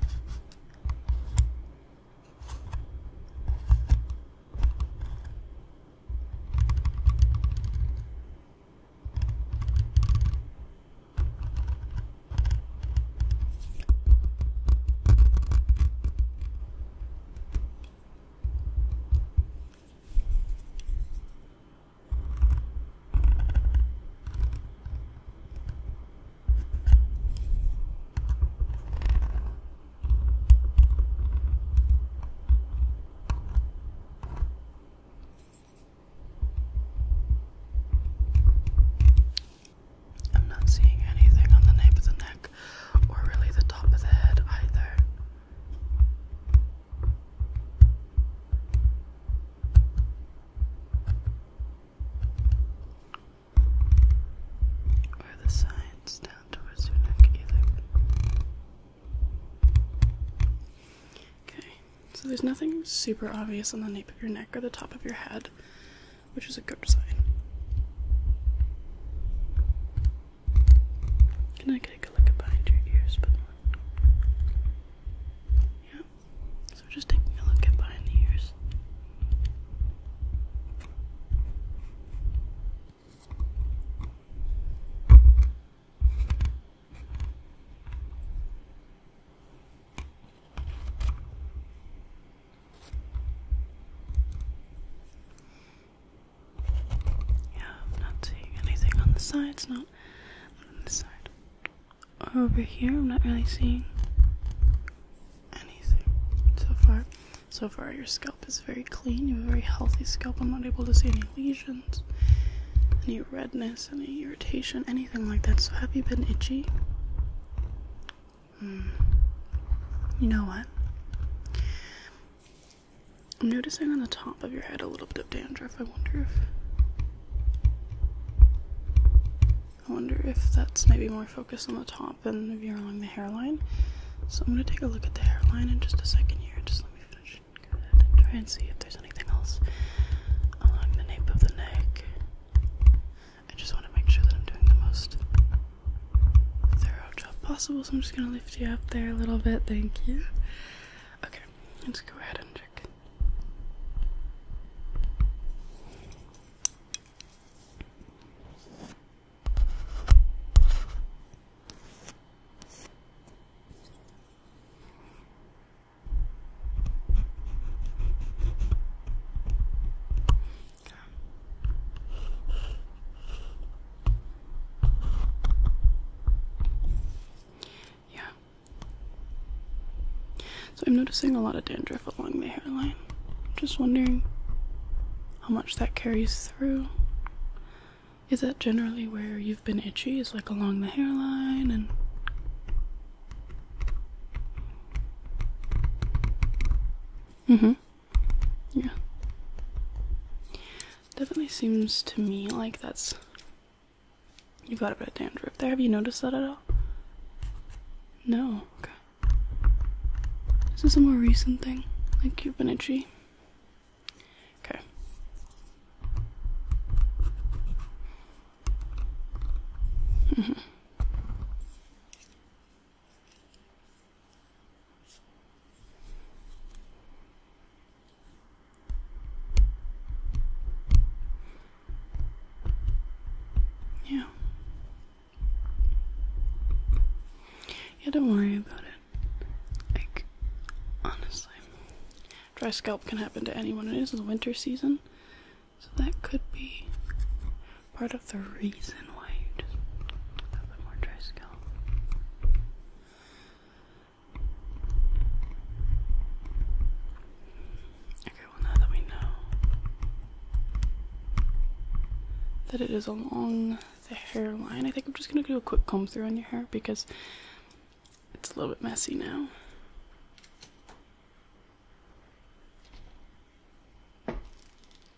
I'm not seeing anything on the nape of the neck or really the top of the head either. Or the sides down towards your neck either. Okay, so there's nothing super obvious on the nape of your neck or the top of your head, which is a good sign. Can I take a look behind your ears, yeah. So just taking a look at behind the ears. Yeah, I'm not seeing anything on the sides, not on this side. over here, I'm not really seeing anything so far. So far, your scalp is very clean. You have a very healthy scalp. I'm not able to see any lesions, any redness, any irritation, anything like that. So, have you been itchy? Hmm. You know what? I'm noticing on the top of your head a little bit of dandruff. I wonder if I wonder if that's maybe more focused on the top than if you're along the hairline. So I'm gonna take a look at the hairline in just a second here. Just let me finish try and see if there's anything else along the nape of the neck. I just want to make sure that I'm doing the most thorough job possible, so I'm just gonna lift you up there a little bit. Thank you. Okay, let's go ahead and check. Yeah. So I'm noticing a lot of dandruff along the hairline. Just wondering how much that carries through. Is that generally where you've been itchy? Is like along the hairline and Mm-hmm. Yeah. Definitely seems to me like that's. You've got a bit of dandruff there. Have you noticed that at all? No. Okay. Is this a more recent thing? Like you've been itchy? Okay. Mm -hmm. Yeah. Yeah, don't worry about it. Like, honestly, dry scalp can happen to anyone. It is the winter season, so that could be part of the reason why you just have a more dry scalp. Okay, well, now that we know that it is along the hairline, I think I'm just gonna do a quick comb through on your hair because it's a little bit messy now.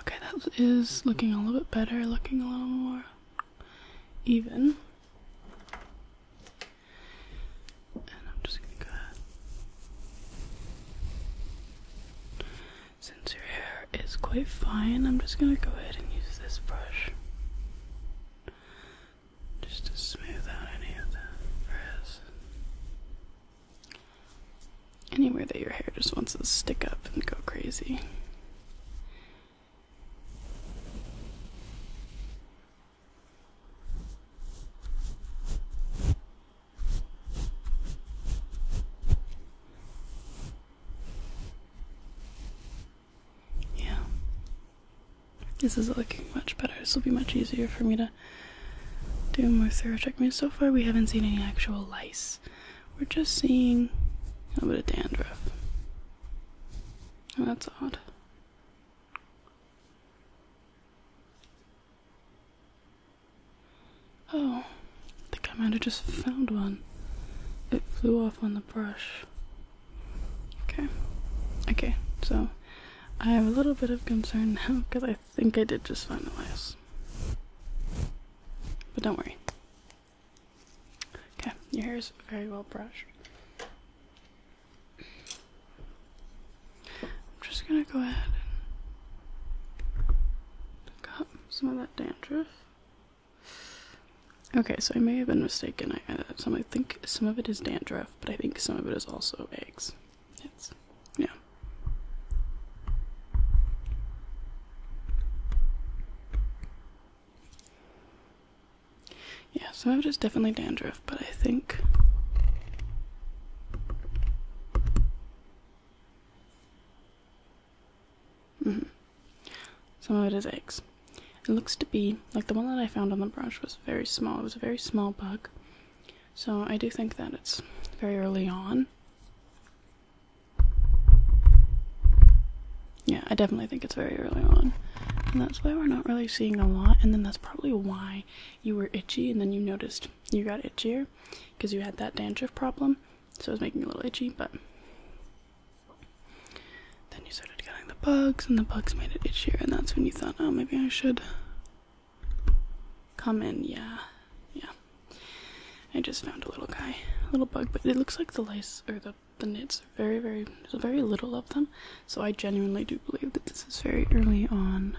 Okay, that is looking a little bit better, looking a little more even. And I'm just gonna go ahead. Since your hair is quite fine, I'm just gonna go ahead and use this brush just to smooth out any of the frizz. Anywhere that your hair just wants to stick up and go crazy. Yeah. This is looking much better. This will be much easier for me to to do more thoracotomy. So far, we haven't seen any actual lice. We're just seeing a little bit of dandruff. Oh, that's odd. Oh, I think I might have just found one. It flew off on the brush. Okay. Okay, so I have a little bit of concern now because (laughs) I think I did just finalize. But don't worry. Okay, your hair is very well brushed. I'm just gonna go ahead and pick up some of that dandruff. Okay, so I may have been mistaken. I, uh, some I think some of it is dandruff, but I think some of it is also eggs. It's yeah. Yeah, of it is definitely dandruff, but I think -hmm. some of it is eggs. It looks to be like the one that I found on the brush was very small. It was a very small bug, so I do think that it's very early on. Yeah, I definitely think it's very early on. And that's why we're not really seeing a lot. And then that's probably why you were itchy and then you noticed you got itchier because you had that dandruff problem. So it was making you a little itchy, but then you started getting the bugs and the bugs made it itchier. And that's when you thought, oh, maybe I should Come in, yeah. Yeah. I just found a little guy. A little bug, but it looks like the lice or the the knits are very, very there's very little of them. So I genuinely do believe that this is very early on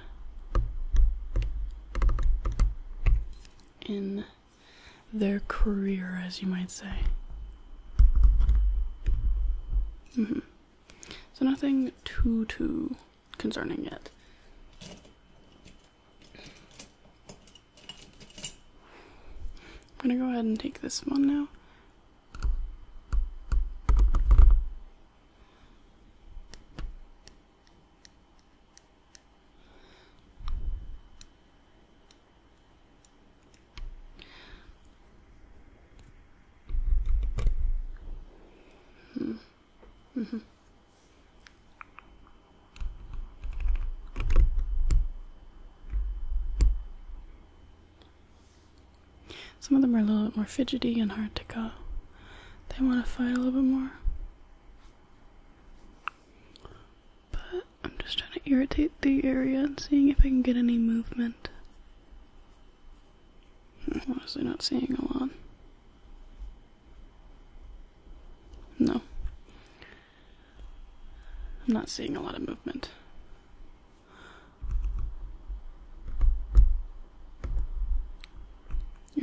in their career, as you might say. -hmm. So nothing too too concerning it. I'm gonna go ahead and take this one now. Hmm. Mm-hmm. Some of them are a little bit more fidgety and hard to cut. They want to fight a little bit more. But I'm just trying to irritate the area and seeing if I can get any movement. honestly not seeing a lot. No. I'm not seeing a lot of movement.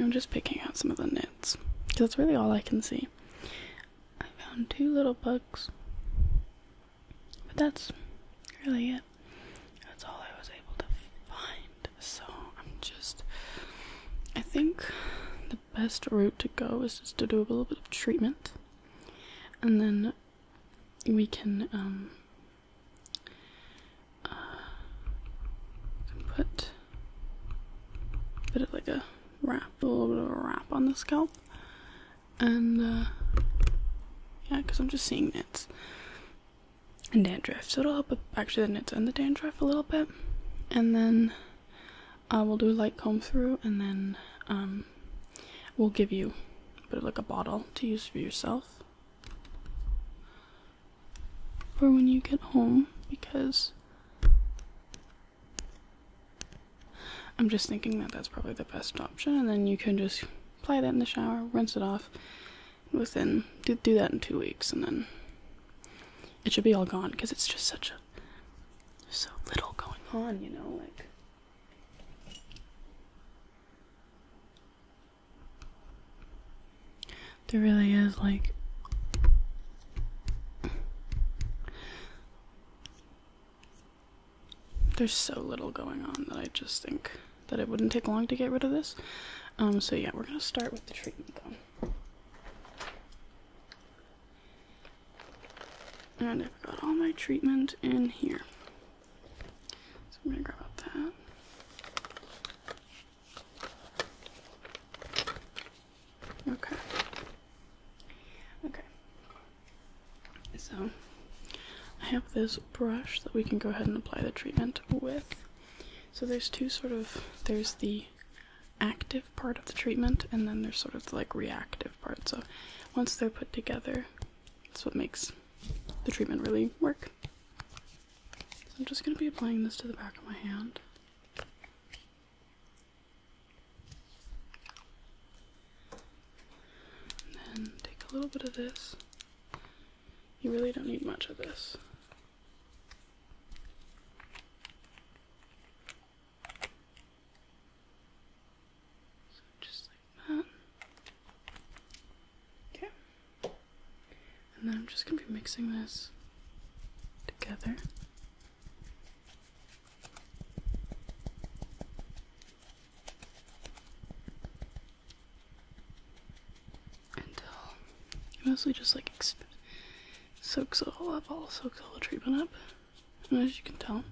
I'm just picking out some of the nits. that's really all I can see. I found two little bugs. But that's really it. That's all I was able to find. So I'm just. I think the best route to go is just to do a little bit of treatment, and then we can um, uh, put a like a wrap, a little bit of a wrap on the scalp, and uh, yeah, because I'm just seeing it and dandruff. So it'll help actually the knits and the dandruff a little bit. And then I uh, will do a light comb through and then um, we'll give you a bit of like a bottle to use for yourself for when you get home because I'm just thinking that that's probably the best option and then you can just apply that in the shower, rinse it off, within do, do that in two weeks and then it should be all gone because it's just such a so little going on you know like there really is like there's so little going on that I just think that it wouldn't take long to get rid of this. Um, so yeah, we're gonna start with the treatment though. And I've got all my treatment in here. So I'm gonna grab that. Okay. Okay. So I have this brush that we can go ahead and apply the treatment with. So there's two sort of there's the active part of the treatment, and then there's sort of like reactive part. So once they're put together, that's what makes the treatment really work. So I'm just going to be applying this to the back of my hand. then take a little bit of this. You really don't need much of this. So just like that. Okay. And then I'm just going to be mixing this together until it mostly just like soaks the whole up, all soaks the treatment up. And as you can tell,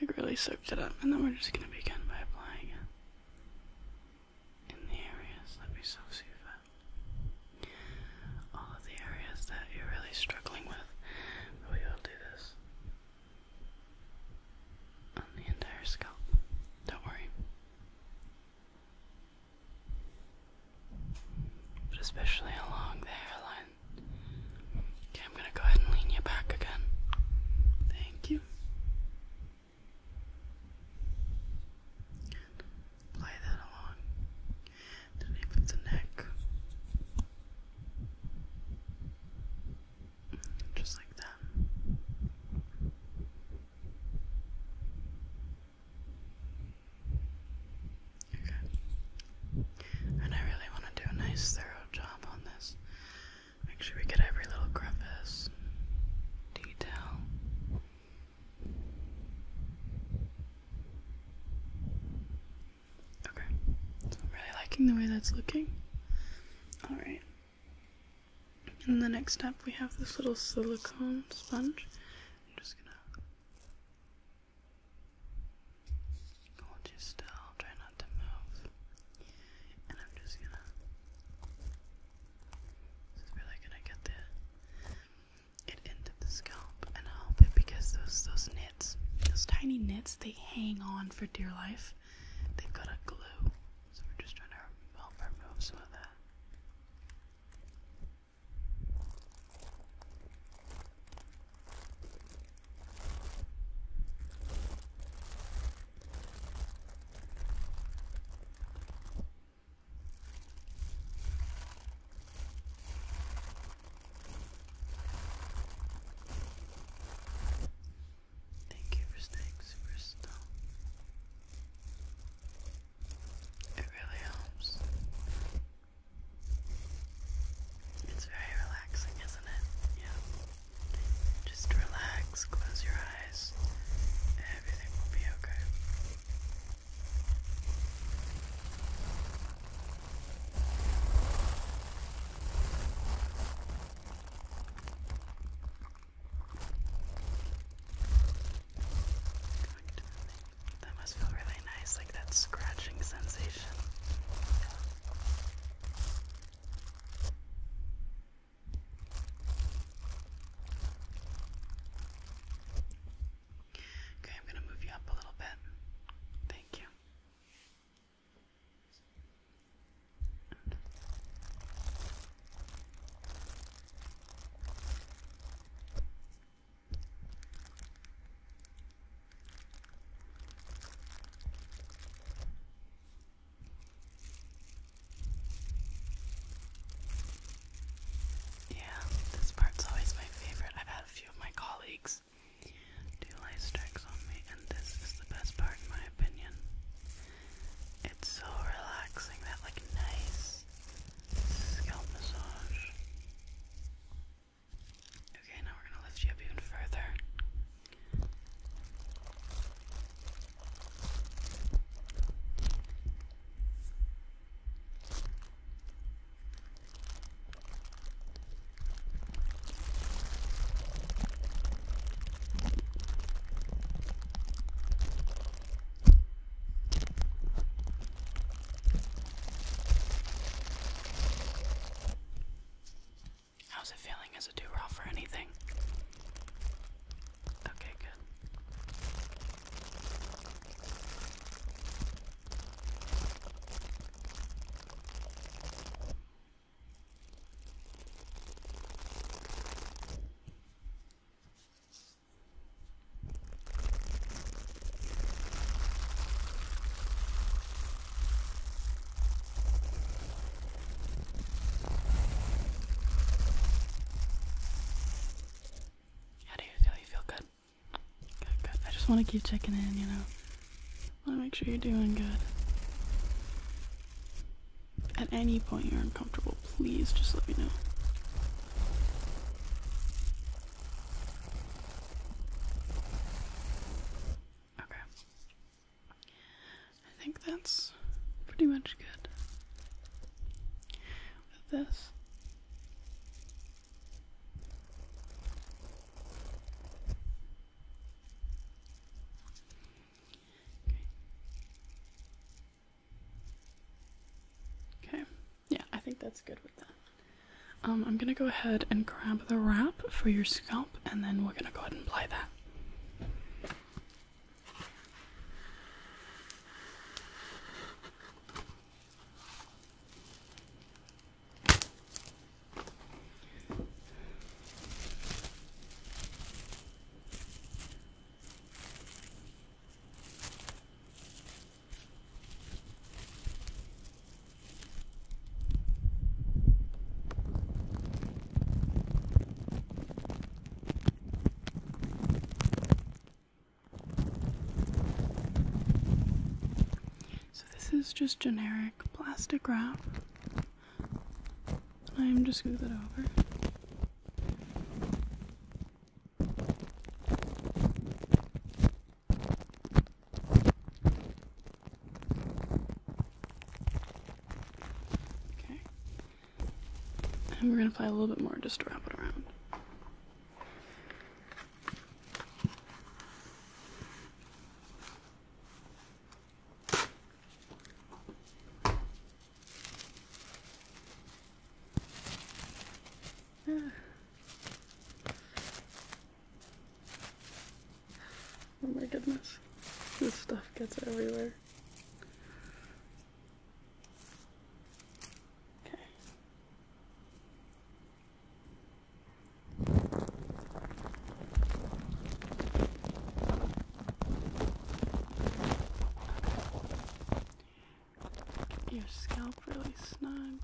like really soaked it up. And then we're just gonna begin by applying it in the areas that we so see all of the areas that you're really struggling with. we will do this on the entire scalp. Don't worry. But especially along the hairline. Okay, I'm gonna go ahead and lean you back again. Thank you. play that along the the neck. Just like that. Okay. And I really want to do a nice, thorough job on this. Make sure we get every little crevice, detail. Okay, am really liking the way that's looking. Alright, and the next step, we have this little silicone sponge. I'm just gonna hold you still, try not to move. And I'm just gonna. This is really gonna get the it into the scalp and help it because those those nits, those tiny nits, they hang on for dear life. They've got a glue, so we're just trying to help remove some of that. Thank you for staying super still. It really helps. It's very relaxing, isn't it? Yeah. Just relax, close your eyes, everything will be okay that must feel really nice, like that scratching sensation. Okay, I'm going to move you up a little bit. Thank you. Yeah, this part's always my favorite. I've had a few of my colleagues do light strikes on me, and this is the best part in my opinion. It's so relaxing, that like nice Scalp massage. Okay, now we're going to lift you up even further. How's it feeling? Is it too raw for anything? Okay, good. How do you feel? You feel good? Good, good. I just want to keep checking in, you know. I want to make sure you're doing good. At any point you're uncomfortable, please just let me know. Okay. I think that's pretty much good with this. Okay, yeah, I think that's good with that. Um, I'm gonna go ahead and grab the wrap for your scalp, and then we're gonna go ahead and apply that. So, this is just generic plastic wrap. I'm just gonna it over. Okay. And we're going to apply a little bit more just to wrap it around. (sighs) Oh my goodness. This stuff gets everywhere. Okay your scalp really snug.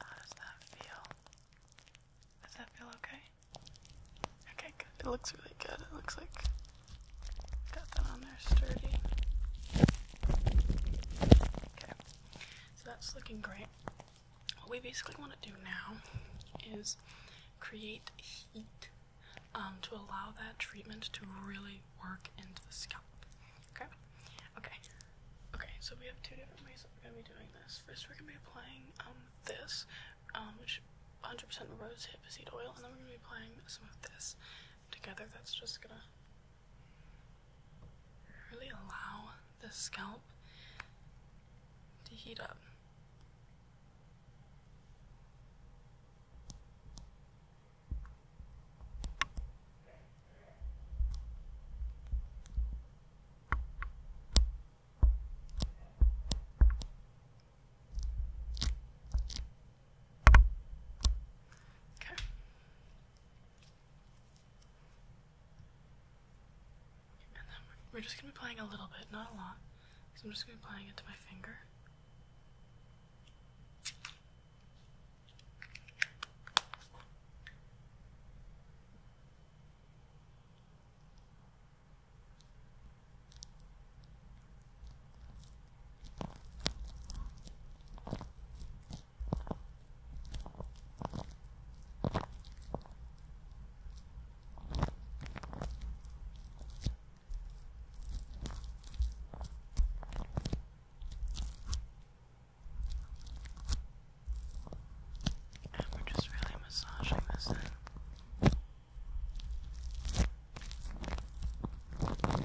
How does that feel? Does that feel okay? Okay, good. It looks really good. It looks like got that on there sturdy. Okay, so that's looking great. What we basically want to do now is create heat um, to allow that treatment to really work into the scalp. Okay? Okay. Okay, so we have two different ways that we're going to be doing this. First, we're going to be applying um, this, um, which 100% rose hip seed oil, and then we're going to be applying some of this together. That's just going to really allow the scalp to heat up. Okay we're just gonna be playing a little bit, not a lot. So I'm just gonna be playing it to my finger. And we're just really massaging this in. Just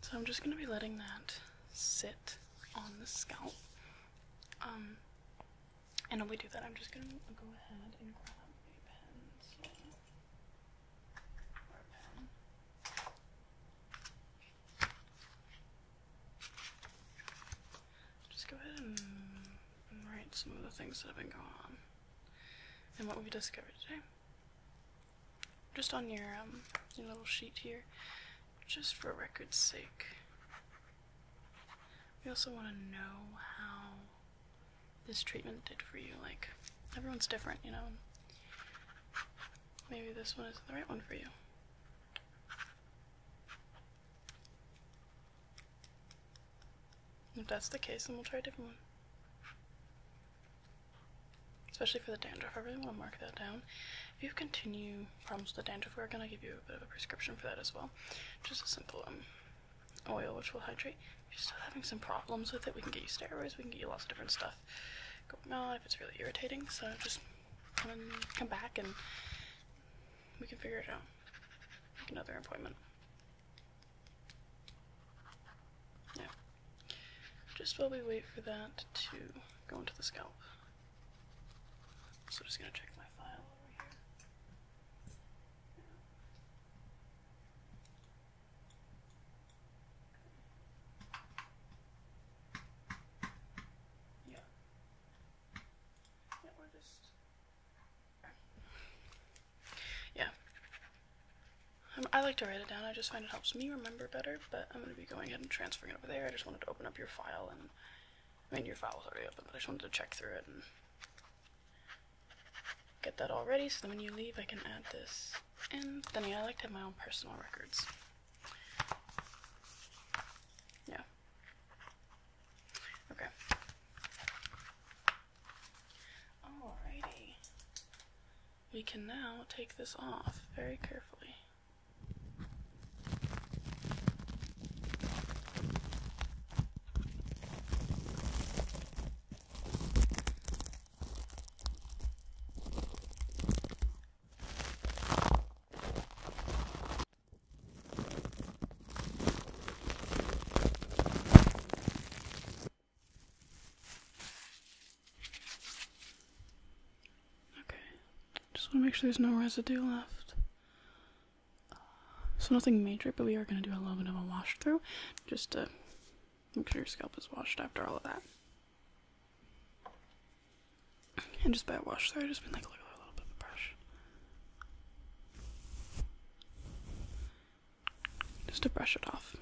So I'm just going to be letting that sit on the scalp. Um and while we do that, I'm just gonna go ahead and grab a pen. Just go ahead and, write some of the things that have been going on and what we have discovered today. Just on your um your little sheet here, just for record's sake. We also want to know how this treatment did for you. Like, everyone's different, you know? Maybe this one is not the right one for you. If that's the case, then we'll try a different one. Especially for the dandruff, I really want to mark that down. If you continue problems with the dandruff, we're going to give you a bit of a prescription for that as well. Just a simple one. Um, oil, which will hydrate. If you're still having some problems with it, we can get you steroids, we can get you lots of different stuff going on if it's really irritating. So just come come back and we can figure it out. Make another appointment. Yeah. Just while we wait for that to go into the scalp. So I'm just gonna check my file over here. Yeah. Yeah, we're just. Yeah. I like to write it down. I just find it helps me remember better, but I'm going to be going ahead and transferring it over there. I just wanted to open up your file and. I mean, your file was already open, but I just wanted to check through it get that all ready so then when you leave I can add this. And then I like to have my own personal records. Yeah. Okay. Alrighty. We can now take this off very carefully. Okay, just want to make sure there's no residue left so nothing major, but we are going to do a little bit of a wash through just to make sure your scalp is washed after all of that. And just by a wash through, I just been like, a little bit of the brush. Just to brush it off.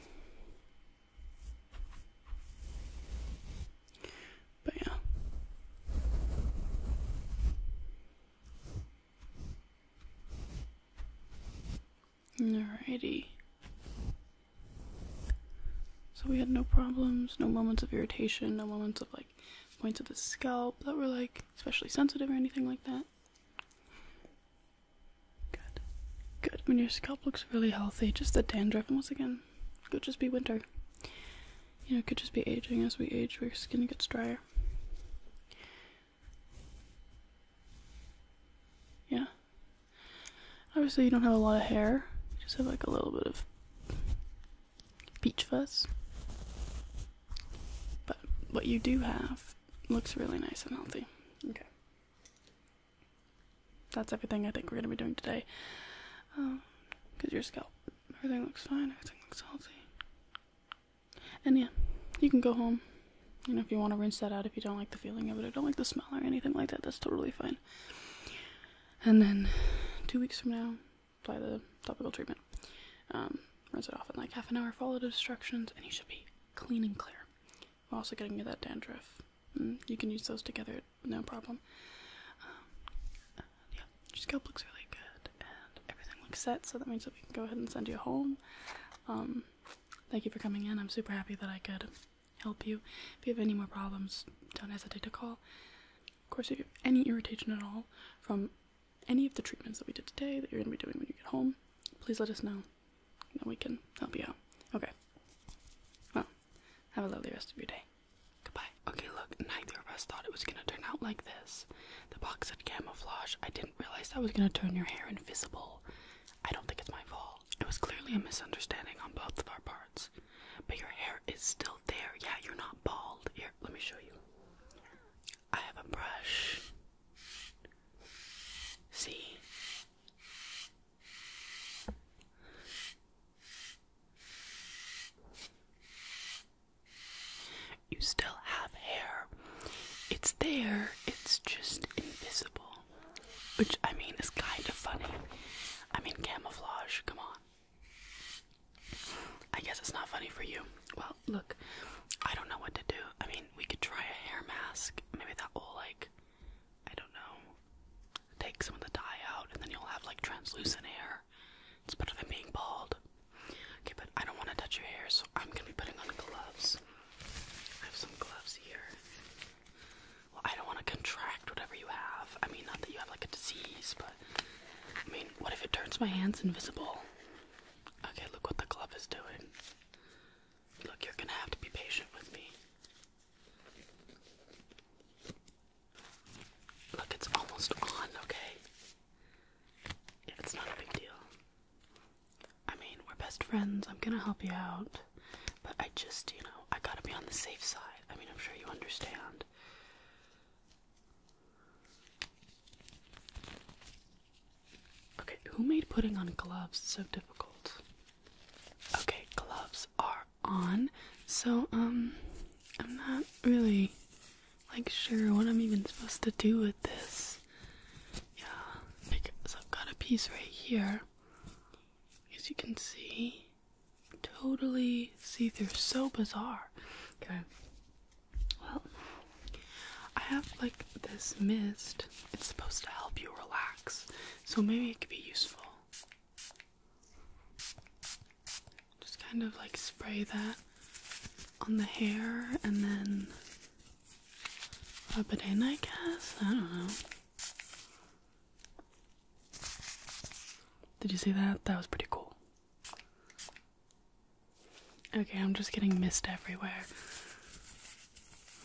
But yeah. Alrighty. So we had no problems, no moments of irritation, no moments of like points of the scalp that were like especially sensitive or anything like that. Good. Good. When your scalp looks really healthy, just the dandruff, once again, could just be winter. You know, it could just be aging. As we age, where your skin gets drier. Yeah. Obviously, you don't have a lot of hair. You just have like a little bit of peach fuzz. But what you do have looks really nice and healthy. Okay. That's everything I think we're going to be doing today. Because um, your scalp, everything looks fine, everything looks healthy. And yeah, you can go home. You know, if you want to rinse that out, if you don't like the feeling of it, or don't like the smell or anything like that, that's totally fine. And then two weeks from now, apply the topical treatment. Um, rinse it off in like half an hour, follow the instructions, and you should be clean and clear. We're also getting you that dandruff. Mm, you can use those together, no problem. Um, yeah, your scalp looks really good everything looks set, so that means that we can go ahead and send you home. Um, thank you for coming in. I'm super happy that I could help you. If you have any more problems, don't hesitate to call. Of course, if you have any irritation at all from any of the treatments that we did today that you're going to be doing when you get home, please let us know, and we can help you out. Okay. Well, have a lovely rest of your day. Goodbye. Okay, look, neither of us thought it was gonna turn out like this. The box had camouflage. I did didn't realize was going to turn your hair invisible. I don't think it's my fault. It was clearly a misunderstanding on both of our parts. But your hair is still there. Yeah, you're not bald. Here, let me show you. I have a brush. See? You still have hair. It's there, it's just invisible. Which, I mean, is kind of funny. I mean, camouflage, come on. I guess it's not funny for you. Well, look, I don't know what to do. I mean, we could try a hair mask. Maybe that will, like, I don't know, take some of the dye out, and then you'll have, like, translucent hair It's better than being bald. Okay, but I don't want to touch your hair, so I'm gonna be putting on gloves. I have some gloves here. Well, I don't want to contract whatever you have. I mean, not that you have like a disease, but I mean, what if it turns my hands invisible? Okay, look what the glove is doing. Look, you're gonna have to be patient with me. Look, it's almost on, okay? Yeah, it's not a big deal. I mean, we're best friends. I'm gonna help you out. But I just, you know, I gotta be on the safe side. I mean, I'm sure you understand. Okay, who made putting on gloves so difficult? Okay, gloves are on. So, um, I'm not really like sure what I'm even supposed to do with this. Yeah, like I've got a piece right here. As you can see, totally see-through, so bizarre. Okay. Well, I have like this mist. It's supposed to help you relax, so maybe it could be useful. Just kind of like spray that on the hair and then rub it in, I guess. I don't know. Did you see that? That was pretty cool. Okay, I'm just getting mist everywhere.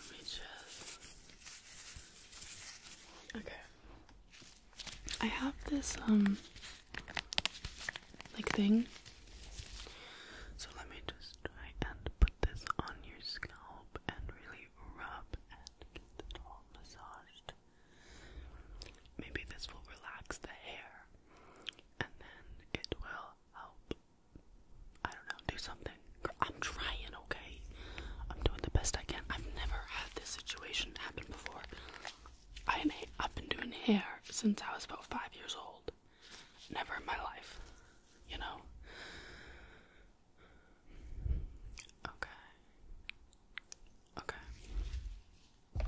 Let me just. Okay. I have this, um like thing. So let me just try and put this on your scalp and really rub and get it all massaged. Maybe this will relax the hair and then it will help. I don't know, do something. I'm trying, okay? I'm doing the best I can. I've never had this situation happen before. I, I've been doing hair since I was about five years old. Never in my life, you know? Okay. Okay.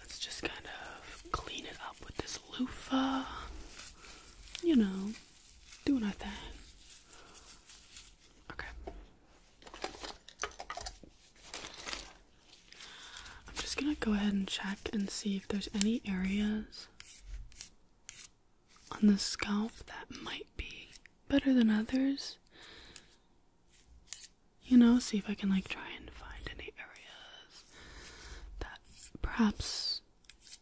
Let's just kind of clean it up with this loofah. You know, doing our Okay. I'm just gonna go ahead and check and see if there's any areas on the scalp that might be better than others. You know, see if I can like try and find any areas that perhaps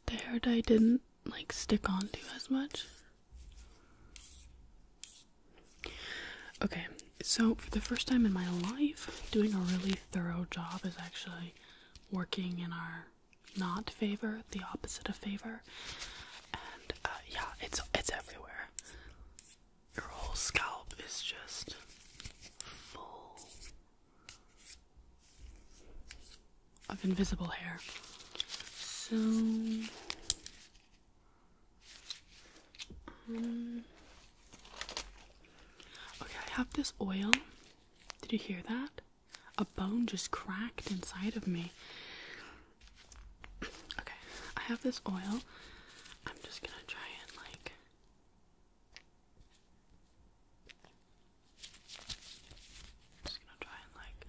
the hair dye didn't like stick onto as much. Okay, so for the first time in my life, doing a really thorough job is actually working in our not favor, the opposite of favor. And uh, yeah, it's it's everywhere. Your whole scalp is just full of invisible hair. So um, okay, I have this oil. Did you hear that? A bone just cracked inside of me. Okay, I have this oil. I'm just gonna try and like. just gonna try and like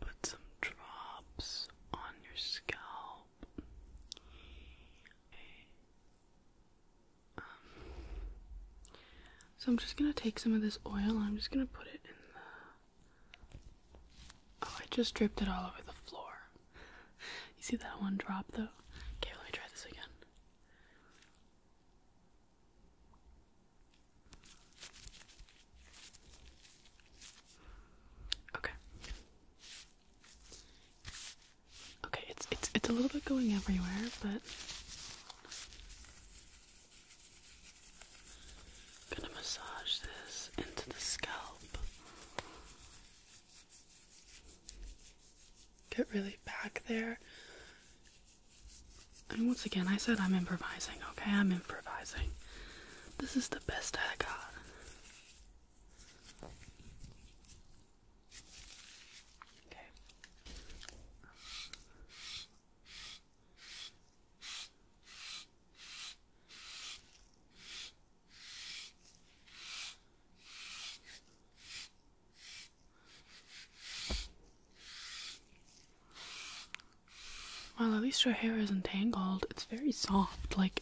put some drops on your scalp so I'm just gonna take some of this oil. I'm just gonna put it in the. Oh, I just dripped it all over the floor. You see that one drop though? Okay, let me try this again. Okay. Okay, it's it's it's a little bit going everywhere, but gonna massage this into the scalp. Get really back there. And once again, I said I'm improvising, okay? I'm improvising. This is the best I got. Well, at least your hair isn't tangled. It's very soft. Like,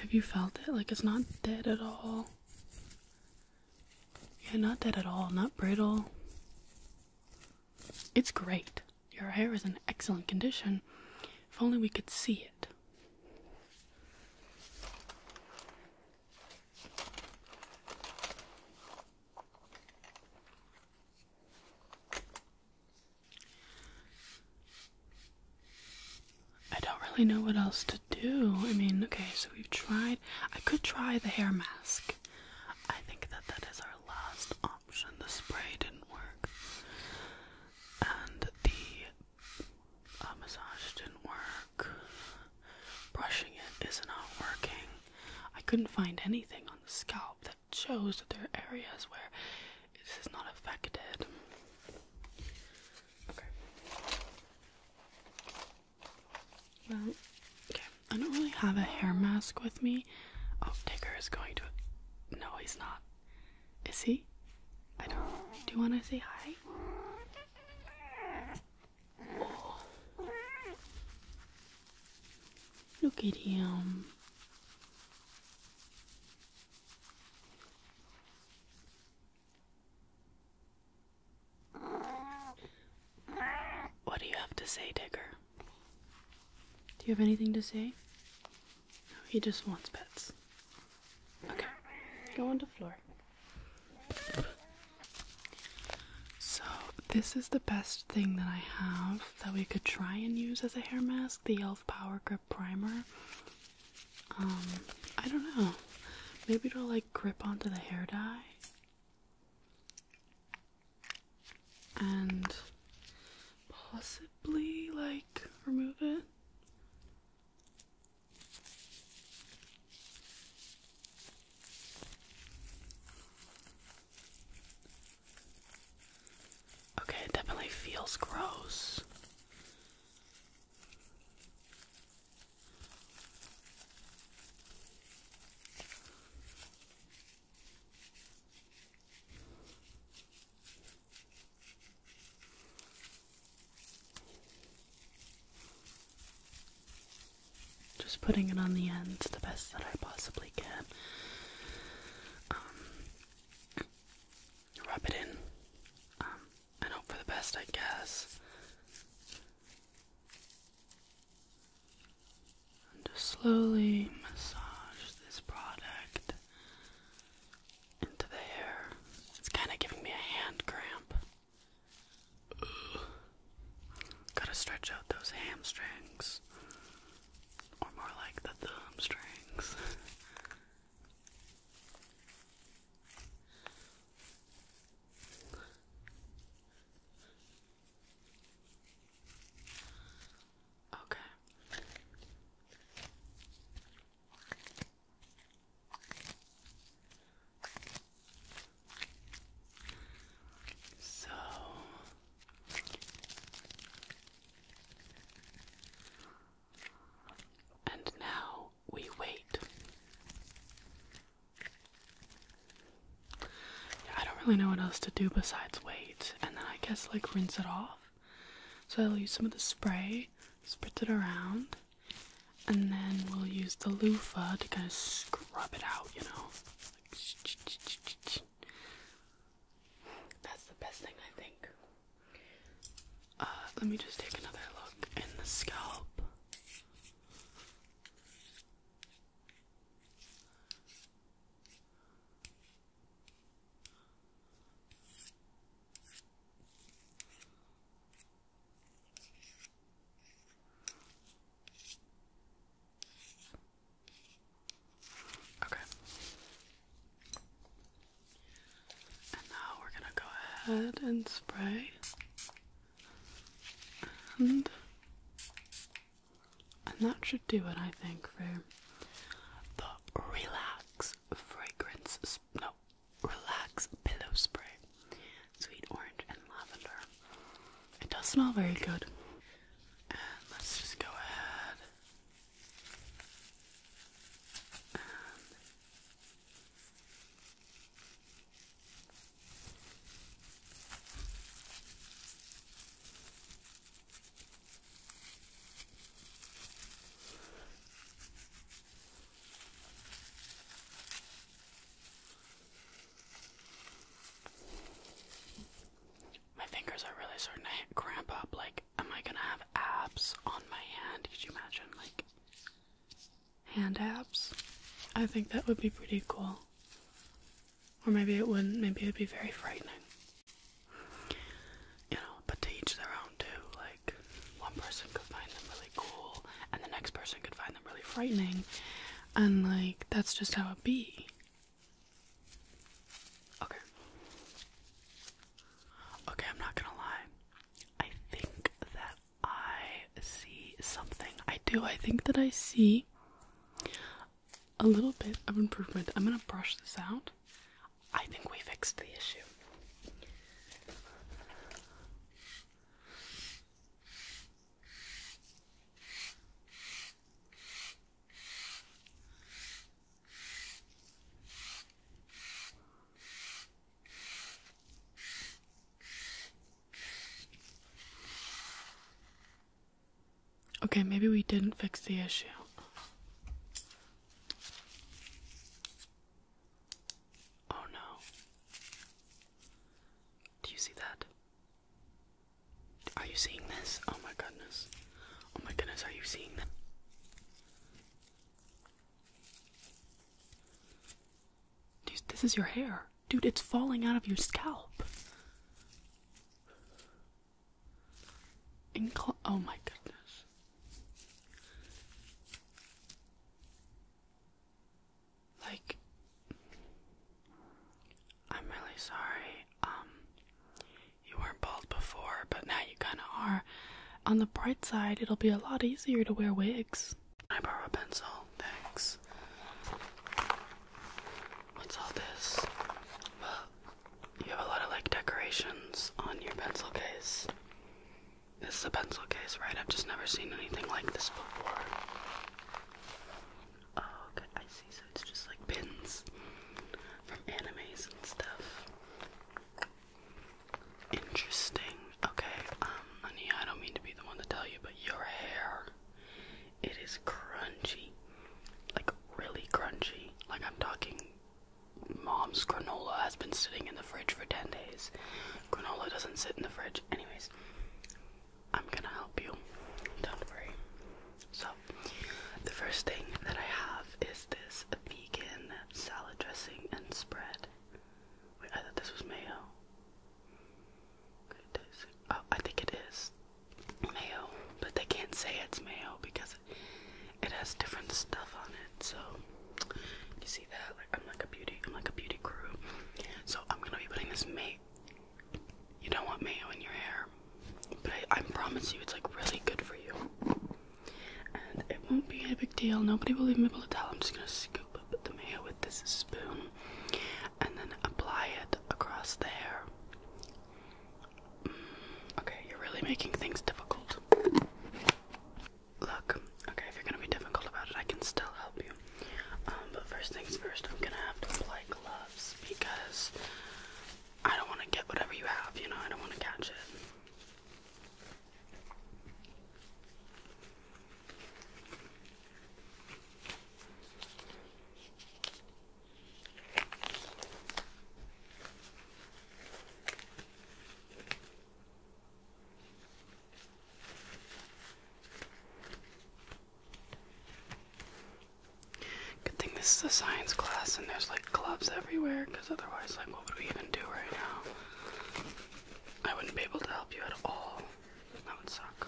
have you felt it? Like it's not dead at all. Yeah, not dead at all. Not brittle. It's great. Your hair is in excellent condition. If only we could see it. I don't really know what else to do. I mean, okay, so we've tried. I could try the hair mask. I think that that is our last option. The spray didn't work, and the uh, massage didn't work. Brushing it is not working. I couldn't find anything on the scalp that shows that there are areas where it is not affected. Okay. Well, okay. I don't really have a hair mask with me. Oh, Digger is going to. No, he's not. Is he? I don't. Do you want to say hi? Look at him. What do you have to say, Digger? Do you have anything to say? he just wants pets. Okay, go on the floor. So, this is the best thing that I have that we could try and use as a hair mask the e.l.f. Power Grip Primer. Um, I don't know. Maybe it'll like grip onto the hair dye. And possibly like remove it. Okay, it definitely feels gross. Just putting it on the ends the best that I possibly can. Um, (clears throat) rub it in. Um, and hope for the best, I guess. just slowly massage this product into the hair. It's kind of giving me a hand cramp. Gotta stretch out those hamstrings, or more like the thumb Okay. So and now we wait. Yeah, I don't really know what else to do besides wait, and then I guess like rinse it off. So I'll use some of the spray, spritz it around, and then we'll use the loofa to kind of scrub it out, you know. That's the best thing, I think. Uh, let me just take another look in the scalp. Okay. And now we're going to go ahead and spray and and that should do it I think for the relax fragrance no relax pillow spray sweet orange and lavender it does smell very good and let's just go ahead my fingers are really starting to cramp up. Like, am I gonna have abs on my hand? Could you imagine? Like, hand apps. I think that would be pretty cool. Or maybe it wouldn't, maybe it'd be very frightening. You know, but to each their own too. Like, one person could find them really cool, and the next person could find them really frightening, and like, that's just how it be. Okay. Okay, I'm not gonna lie. I think that I see something. I do. I think that I see a little bit of improvement. I'm gonna brush this out. I think we fixed the issue. Okay, maybe we didn't fix the issue. Oh no. Do you see that? Are you seeing this? Oh my goodness. Oh my goodness, are you seeing that? Dude, this is your hair. Dude, it's falling out of your scalp. Incl oh my goodness. Like, I'm really sorry. Um, you weren't bald before, but now you kind of are. On the bright side, it'll be a lot easier to wear wigs. Can I borrow a pencil? Thanks. What's all this? Well, you have a lot of like decorations on your pencil case. This is a pencil case, right? I've just never seen anything like this before. Oh, okay, I see. So it's just like pins from animes and stuff. Interesting. Okay, um, honey, I don't mean to be the one to tell you, but your hair, it is crunchy. Like, really crunchy. Like, I'm talking mom's granola has been sitting in the fridge for 10 days. Granola doesn't sit in the fridge. Anyways, I'm gonna help you. Don't worry. So, the first thing that I have is this vegan salad dressing and spread. Wait, I thought this was mayo. Oh, I think it is mayo, but they can't say it's mayo because it has different stuff on it. So you see that? Like I'm like a beauty, I'm like a beauty guru. So I'm gonna be putting this mayo. You don't want mayo in your hair, but I, I promise you, it's like really good for you. And it won't be a big deal. Nobody will even be able to tell. I'm just gonna scoop Put the here with this spoon and then apply it across the hair. Mm, okay, you're really making things difficult. Look, okay, if you're gonna be difficult about it, I can still help you. Um, but first things first, I'm gonna have to apply gloves because I don't want to get whatever you have, you know, I don't want to catch it. Good thing this is a science class and there's like gloves everywhere because otherwise, like, what would we even do right now? I wouldn't be able to help you at all. That would suck.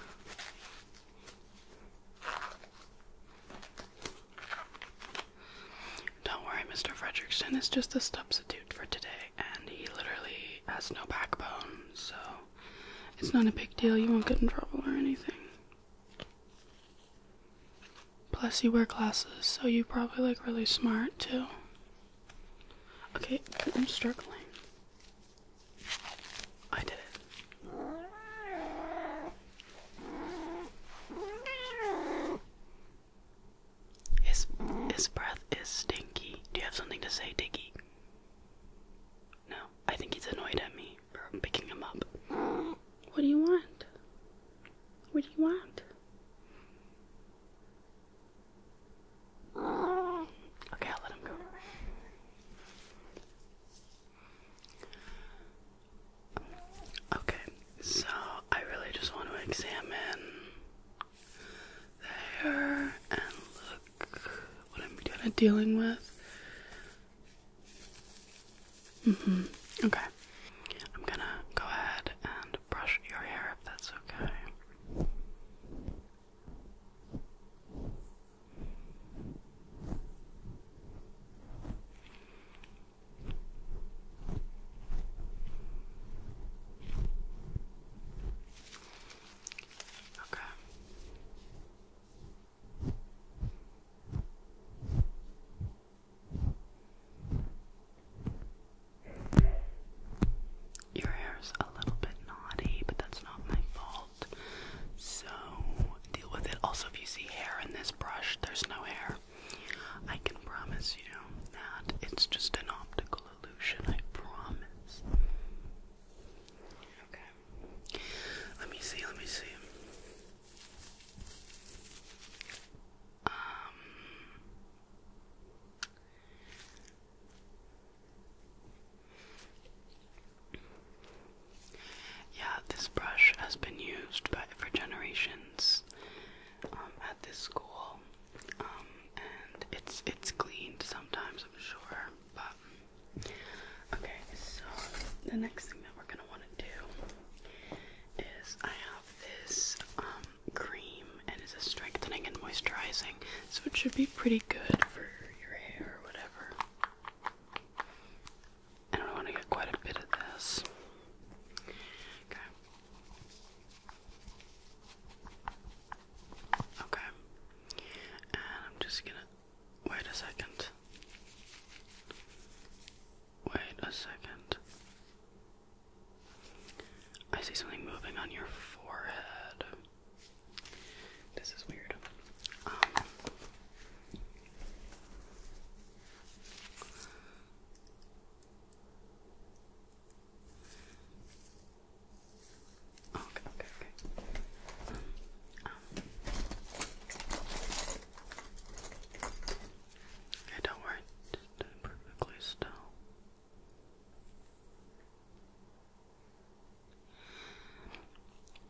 Don't worry, Mr. Frederiksen. is just a substitute for today, and he literally has no backbone, so it's not a big deal. You won't get in trouble or anything. Plus, you wear glasses, so you probably look really smart too. Okay, I'm struggling. I did it. His his breath is stinky. Do you have something to say, Diggy? No, I think he's annoyed at me for picking him up. What do you want? What do you want? Okay, I'll let him go. Okay, so I really just want to examine the hair and look what I'm kind of dealing with. Mm-hmm. Okay. I'm gonna go ahead and brush your hair if that's okay. Okay. Your hair's a little bit naughty, but that's not my fault. So deal with it. Also, if you see hair in this brush, there's no hair. I can promise you that it's just an optical illusion. I promise. Okay. Let me see. Let me see. Um. Yeah, this brush has been used by, for generations um, at this school, um, and it's it's cleaned sometimes, I'm sure. But okay, so the next thing that we're gonna want to do is I have this um, cream, and it's a strengthening and moisturizing, so it should be pretty good for your hair or whatever. And I want to get quite a bit of this. Okay. Okay. And I'm just gonna wait a second. Wait a second. I see something moving on your forehead. This is weird. Um, okay, okay, okay. okay, um, don't worry. Just perfectly still.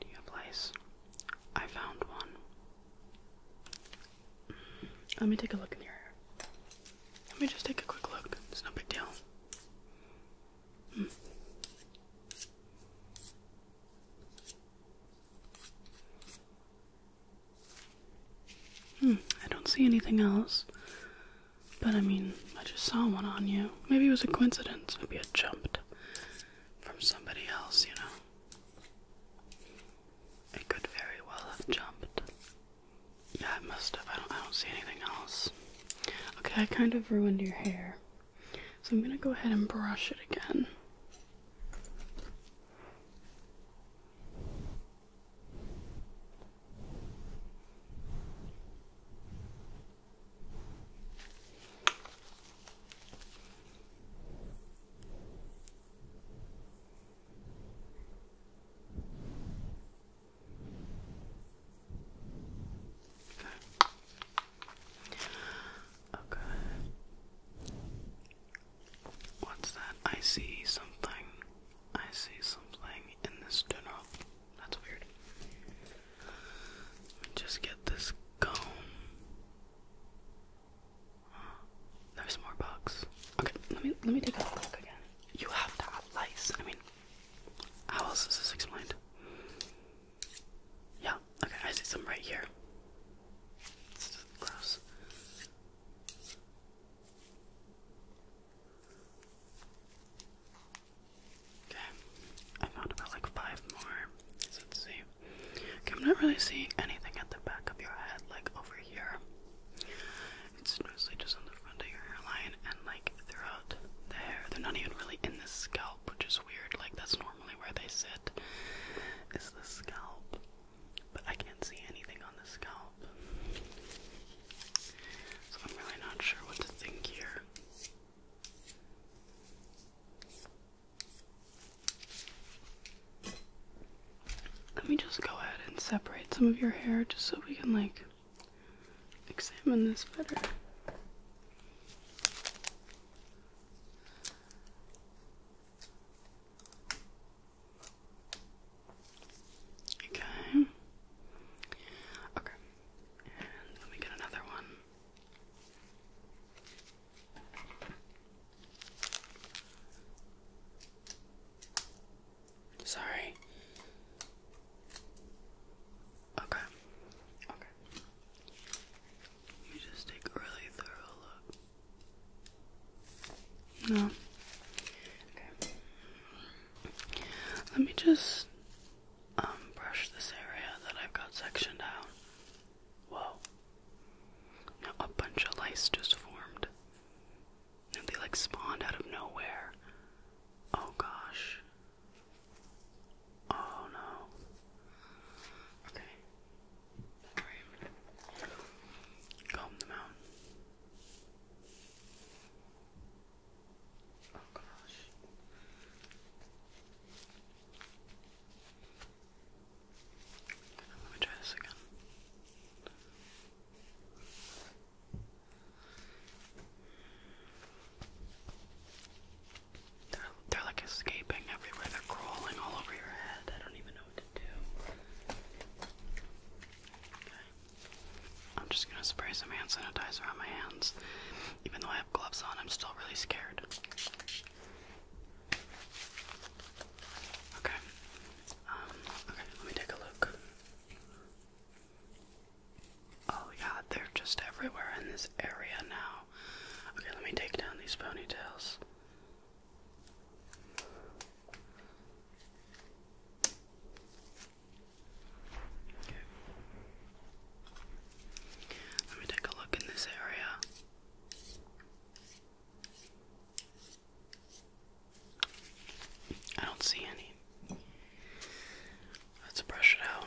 Do you place? I found one. Let me take a look in your hair. Let me just take a quick look. It's no big deal. Mm. Hmm, I don't see anything else. But I mean, I just saw one on you. Maybe it was a coincidence. Maybe it jumped from somebody else, you know. It could very well have jumped. Yeah, it must have. I don't I don't see anything else. Okay, I kind of ruined your hair. So I'm gonna go ahead and brush it again. Okay. What's that? I see something. I see something in this tunnel. That's weird. Just get this comb. There's more bugs. Okay, let me let me take a look again. You have to have lice. I mean, how else is this explained? Yeah. Okay, I see some right here. gross. Okay, I found about like five more. let's see. Okay, I'm not really seeing anything at the back of your head, like over here. It's mostly just on the front of your hairline and like throughout the hair. They're not even really in the scalp, which is weird. Like that's normally where they sit, is the scalp. But I can't see anything on the scalp. So I'm really not sure what to think here. Let me just go ahead and separate some of your hair just so we can like examine this better. Okay. Okay. let me get another one. Sorry. Okay. Okay. You just take a really thorough look. No. Okay. Let me just um, brush this area that I've got sectioned out. Whoa. a bunch of lice just formed. And they like spawned out of nowhere. Oh gosh. Oh no. Okay. Comb them out. Oh gosh. Let me try this again. They're, they're like escaping everywhere. They're crawling all over your head. I don't even know what to do. I'm just gonna spray some hand sanitizer on my hands. Even though I have gloves on, I'm still really scared. Okay. Um, okay, let me take a look. Oh, yeah, they're just everywhere in this area now. Okay, let me take down these ponytails. Okay. Let me take a look in this area. I don't see any. Let's brush it out.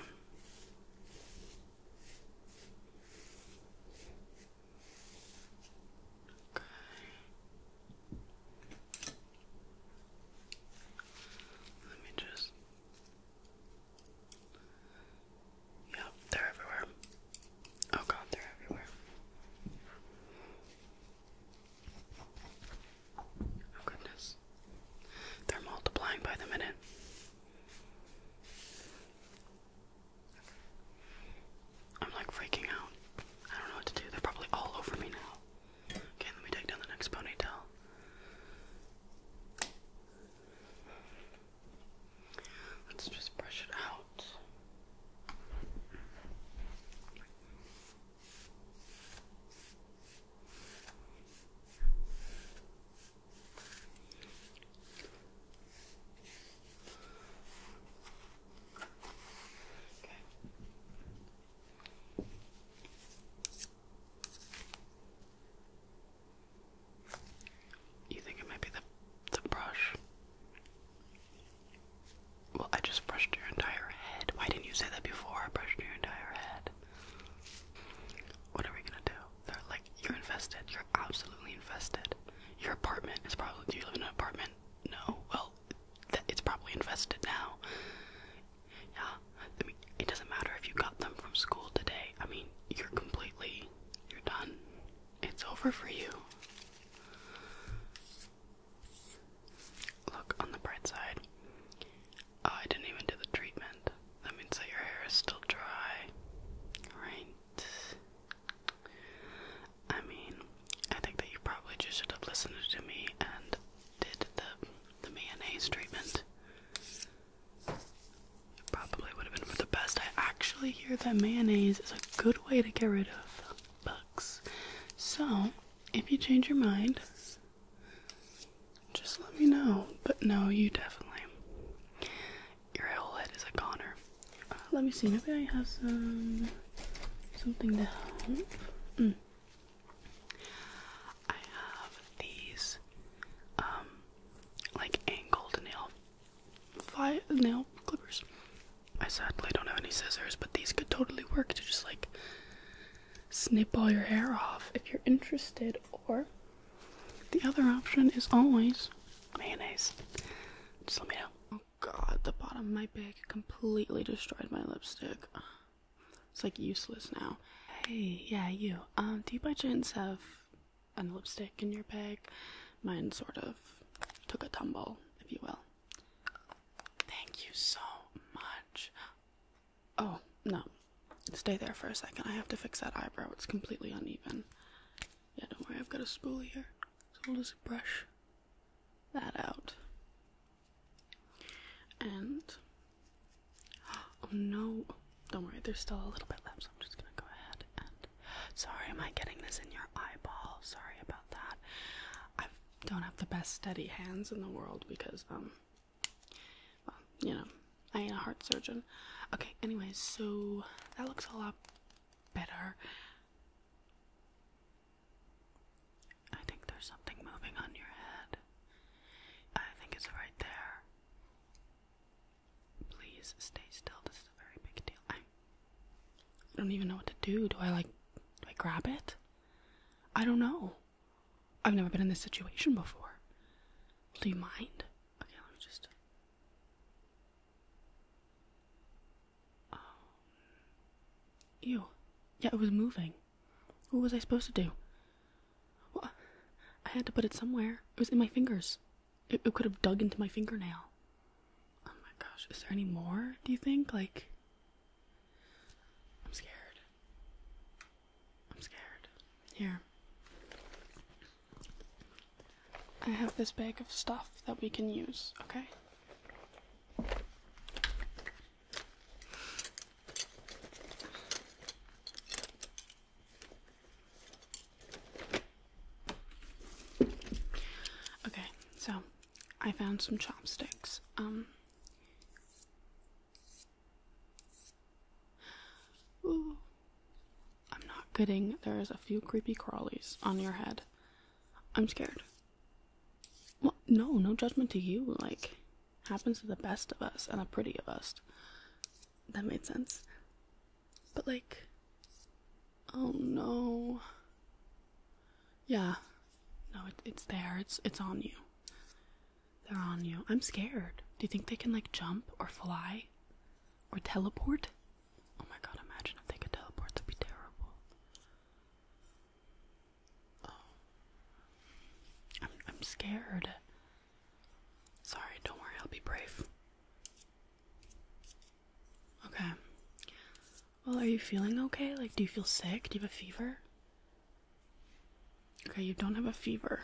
Okay. Let me just Yep, they're everywhere. Oh god, they're everywhere. Oh goodness. They're multiplying by the minute. I'm like freaking out. I don't know what to do. They're probably all over me now. Okay, let me take down the next ponytail. Let's just brush it out. Okay. You think it might be the, the brush? Well, I just brushed your entire head. Why didn't you say that before I brushed your entire head? What are we gonna do? like, you're invested. You're absolutely invested. Your apartment is probably. Do you live in an apartment? No. Well, it's probably invested now. Yeah, it doesn't matter if you got them from school today. I mean, you're completely, you're done. It's over for you. Look on the bright side. Uh, I didn't even do the treatment. That means that your hair is still dry. Right? I mean, I think that you probably just should have listened to me and did the the mayonnaise treatment. It probably would have been for the best. I actually hear that mayonnaise is a good way to get rid of bugs. So, if you change your mind, just let me know. But no, you definitely. Your head is a goner. Uh, let me see. Maybe I have some something to help. Hmm. I have these um, like angled nail nail clippers. I sadly don't have any scissors, but these could totally work to just like snip all your hair off if you're interested. Or the other option is always mayonnaise. Just let me know. Oh god, the bottom of my bag completely destroyed my lipstick. It's like useless now. Hey, yeah, you. Um, do you by chance have and lipstick in your bag. Mine sort of took a tumble, if you will. Thank you so much. Oh, no. Stay there for a second. I have to fix that eyebrow. It's completely uneven. Yeah, don't worry. I've got a spool here. So we'll just brush that out. And (gasps) Oh no, don't worry, there's still a little bit left, so I'm just gonna go ahead and. (gasps) Sorry, am I getting this in your eyeball? Sorry about that. I don't have the best steady hands in the world because, um, well, you know, I ain't a heart surgeon. Okay, anyways, so that looks a lot better. I think there's something moving on your head. I think it's right there. Please stay still. This is a very big deal. I don't even know what to do. Do I like do grab it? I don't know. I've never been in this situation before. Do you mind? Okay, let me just um, Ew. Yeah, it was moving. What was I supposed to do? I had to put it somewhere. It was in my fingers. It, it could have dug into my fingernail. Oh my gosh, is there any more, do you think? Like, I'm scared. I'm scared. Here. I have this bag of stuff that we can use, okay? Okay, so I found some chopsticks. Um I'm not kidding, there's a few creepy crawlies on your head. I'm scared. no, no judgment to you. Like, happens to the best of us and the pretty of us. That made sense. But like, oh no. Yeah, no, it, it's there. It's it's on you. They're on you. I'm scared. Do you think they can like jump or fly, or teleport? Oh my god! Imagine if they could teleport. That'd be terrible. Oh, I'm I'm scared. Sorry, don't worry, I'll be brave. Okay. Well, are you feeling okay? Like, do you feel sick? Do you have a fever? Okay, you don't have a fever.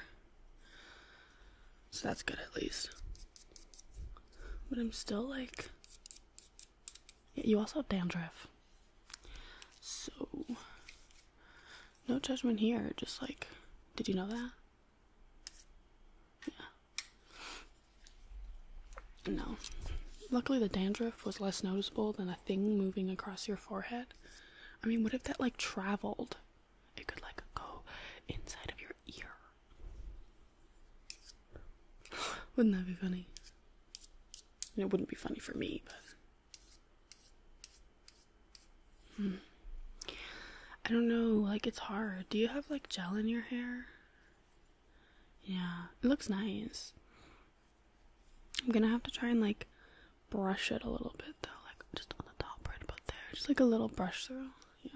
So that's good at least. But I'm still like. Yeah, you also have dandruff. So. No judgment here, just like. Did you know that? Yeah. No. Luckily, the dandruff was less noticeable than a thing moving across your forehead. I mean, what if that like traveled? It could like go inside of your ear. (sighs) Wouldn't that be funny? It wouldn't be funny for me, but Hmm. I don't know, like it's hard. Do you have like gel in your hair? Yeah, it looks nice. I'm gonna have to try and like brush it a little bit though, like just on the top right but there. Just like a little brush through. Yeah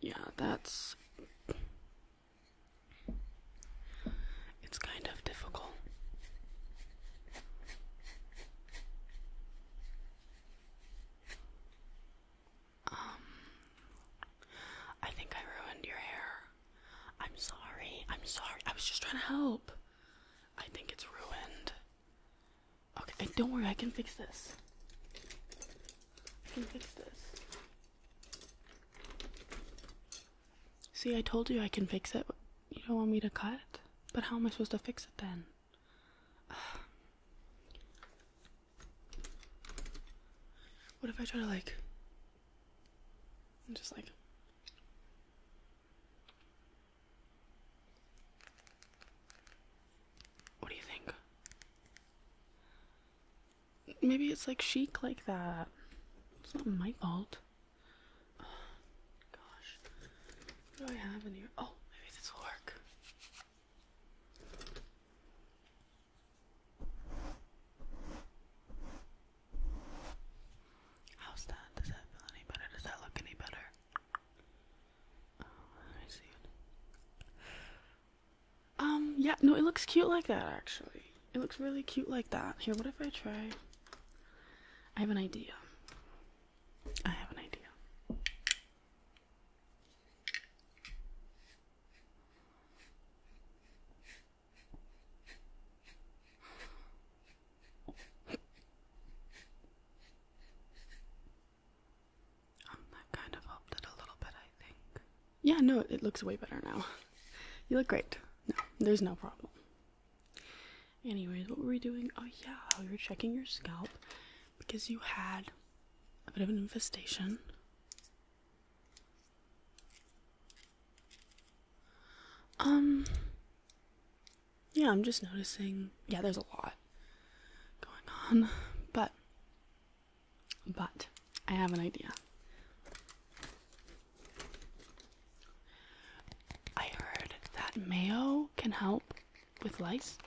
yeah, that's. It's kind of difficult. Um, I think I ruined your hair. I'm sorry. I'm sorry. I was just trying to help. I think it's ruined. Okay, don't worry. I can fix this can fix this. See, I told you I can fix it, but you don't want me to cut. But how am I supposed to fix it then? (sighs) What if I try to like just like What do you think? maybe it's like chic like that. It's not my fault. (sighs) gosh, what do I have in here? Oh, maybe this will work. How's that? Does that feel any better? Does that look any better? Oh, see it. Um, yeah, no, it looks cute like that actually. It looks really cute like that. Here, what if I try? I have an idea. I have an idea that kind of helped it a little bit, I think. Yeah, no, it looks way better now. (laughs) You look great. No, there's no problem. Anyways, what were we doing? Oh, yeah, you were checking your scalp because you had a bit of an infestation. Um, yeah, I'm just noticing. Yeah, there's a lot going on, but but I have an idea. I heard that mayo can help with lice,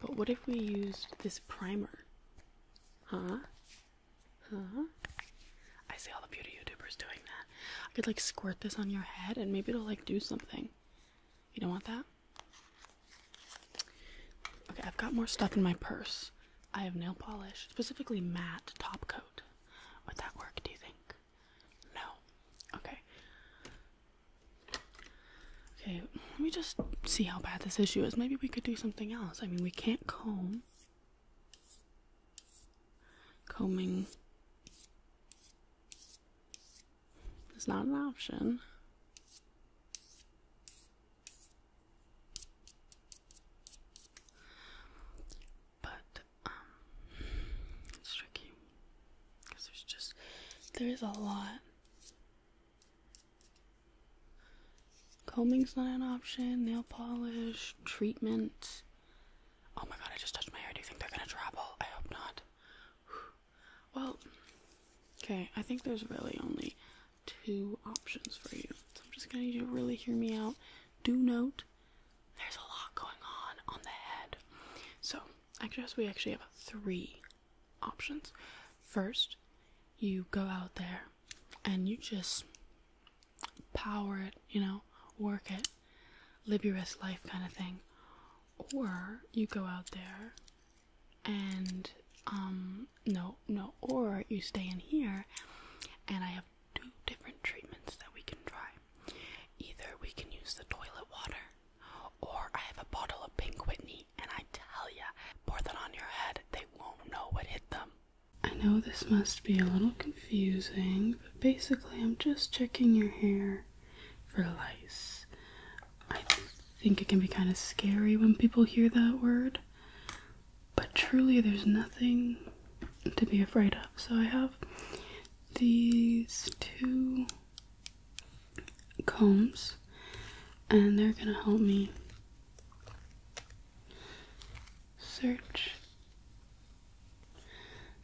but what if we used this primer? Huh? Huh? I see all the beauty YouTubers doing that. I could like squirt this on your head and maybe it'll like do something. You don't want that? Okay, I've got more stuff in my purse. I have nail polish, specifically matte top coat. Would that work, do you think? No. Okay. Okay, let me just see how bad this issue is. Maybe we could do something else. I mean, we can't comb. Combing is not an option. But um, it's tricky because there's just there is a lot. Combing's not an option. Nail polish, treatment. Oh my god! I just touched my hair. Do you think they're gonna travel? I hope not. (sighs) Well, okay. I think there's really only two options for you. So I'm just going to really hear me out. Do note there's a lot going on on the head. So, I guess we actually have three options. First, you go out there and you just power it, you know, work it, live your best life kind of thing. Or you go out there and um no, no, or you stay in here, and I have two different treatments that we can try. Either we can use the toilet water, or I have a bottle of pink Whitney, and I tell ya, pour that on your head, they won't know what hit them. I know this must be a little confusing, but basically, I'm just checking your hair for lice. I think it can be kind of scary when people hear that word. But truly, there's nothing to be afraid of. So I have these two combs, and they're gonna help me search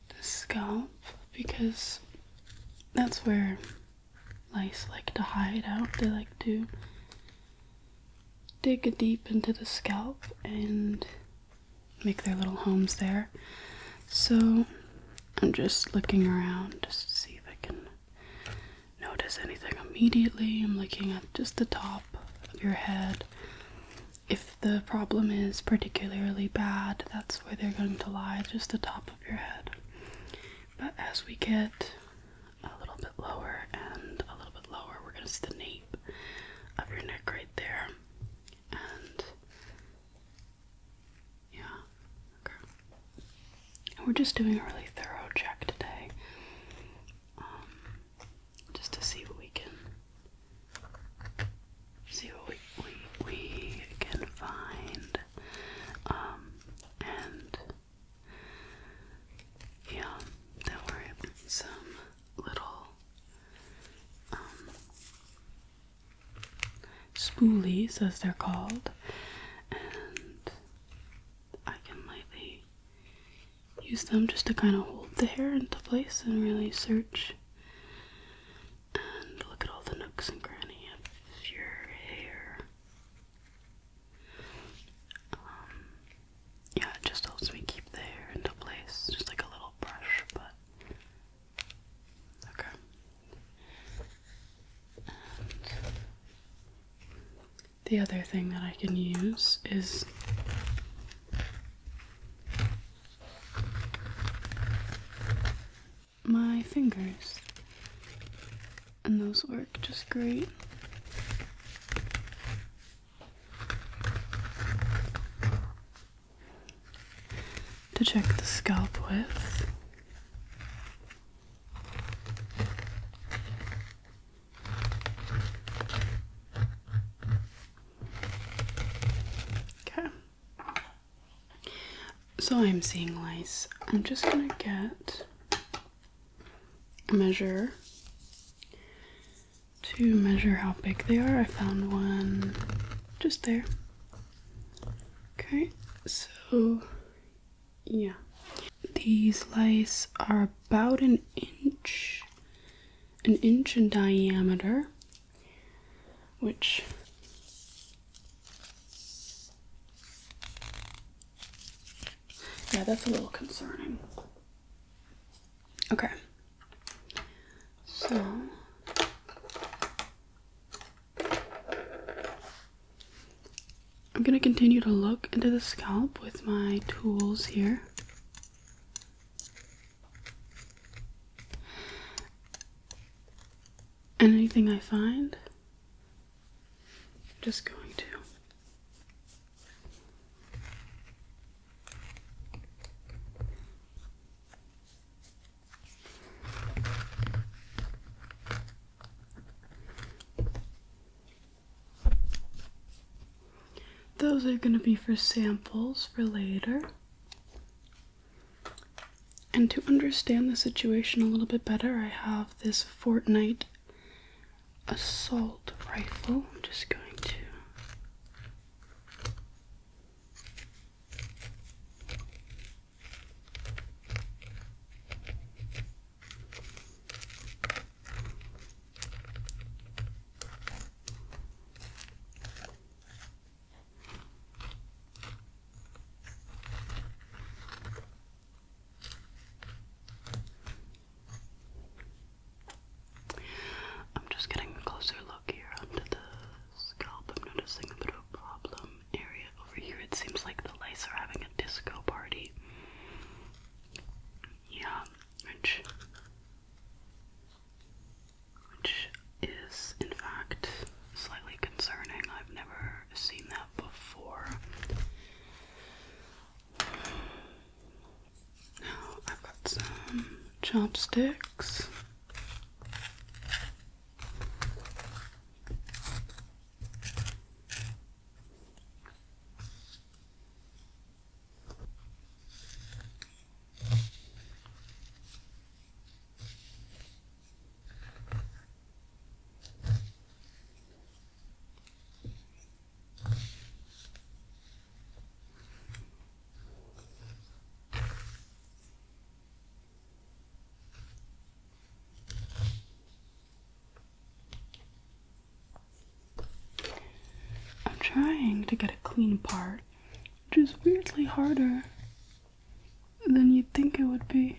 the scalp because that's where lice like to hide out. They like to dig deep into the scalp and make their little homes there. So I'm just looking around just to see if I can notice anything immediately. I'm looking at just the top of your head. If the problem is particularly bad, that's where they're going to lie, just the top of your head. But as we get a little bit lower and a little bit lower. We're going to see the nape of your neck right there. And yeah, okay. we're just doing a really thorough check today. Um, just to see what we can see what we we, we can find um, and yeah, there were some little um, spoolies, as they're called, and I can lightly use them just to kind of hold the hair into place and really search and look at all the nooks and crannies of your hair. Um, yeah, it just helps me keep the hair into place, just like a little brush, but okay. the other thing that I can use is my fingers, and those work just great to check the scalp with. Okay. So I'm seeing lice. I'm just gonna get measure to measure how big they are. I found one just there. Okay, so yeah. These lice are about an inch, an inch in diameter, which yeah, that's a little concerning. Okay. So I'm going to continue to look into the scalp with my tools here. And anything I find, I'm just going to those are going to be for samples for later. And to understand the situation a little bit better, I have this fortnight assault rifle. I'm just going to I'm just getting a closer look here under the scalp. I'm noticing a bit of a problem area over here. It seems like the lice are having a disco party. Yeah, which which is in fact slightly concerning. I've never seen that before. Now I've got some chopsticks. I'm trying to get a clean part, which is weirdly harder than you'd think it would be.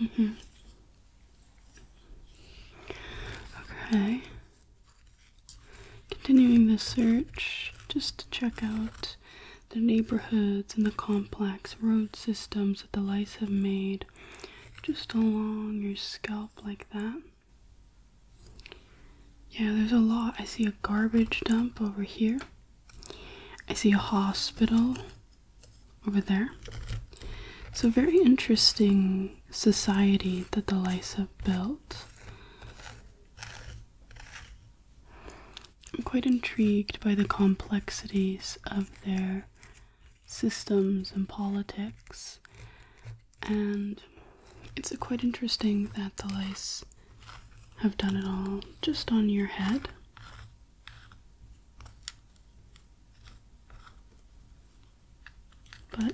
Mm-hmm. Okay. Continuing the search just to check out the neighborhoods and the complex road systems that the lice have made just along your scalp like that. Yeah, there's a lot. I see a garbage dump over here. I see a hospital over there. So, very interesting society that the Lysa built. I'm quite intrigued by the complexities of their systems and politics and it's quite interesting that the lice have done it all just on your head. But,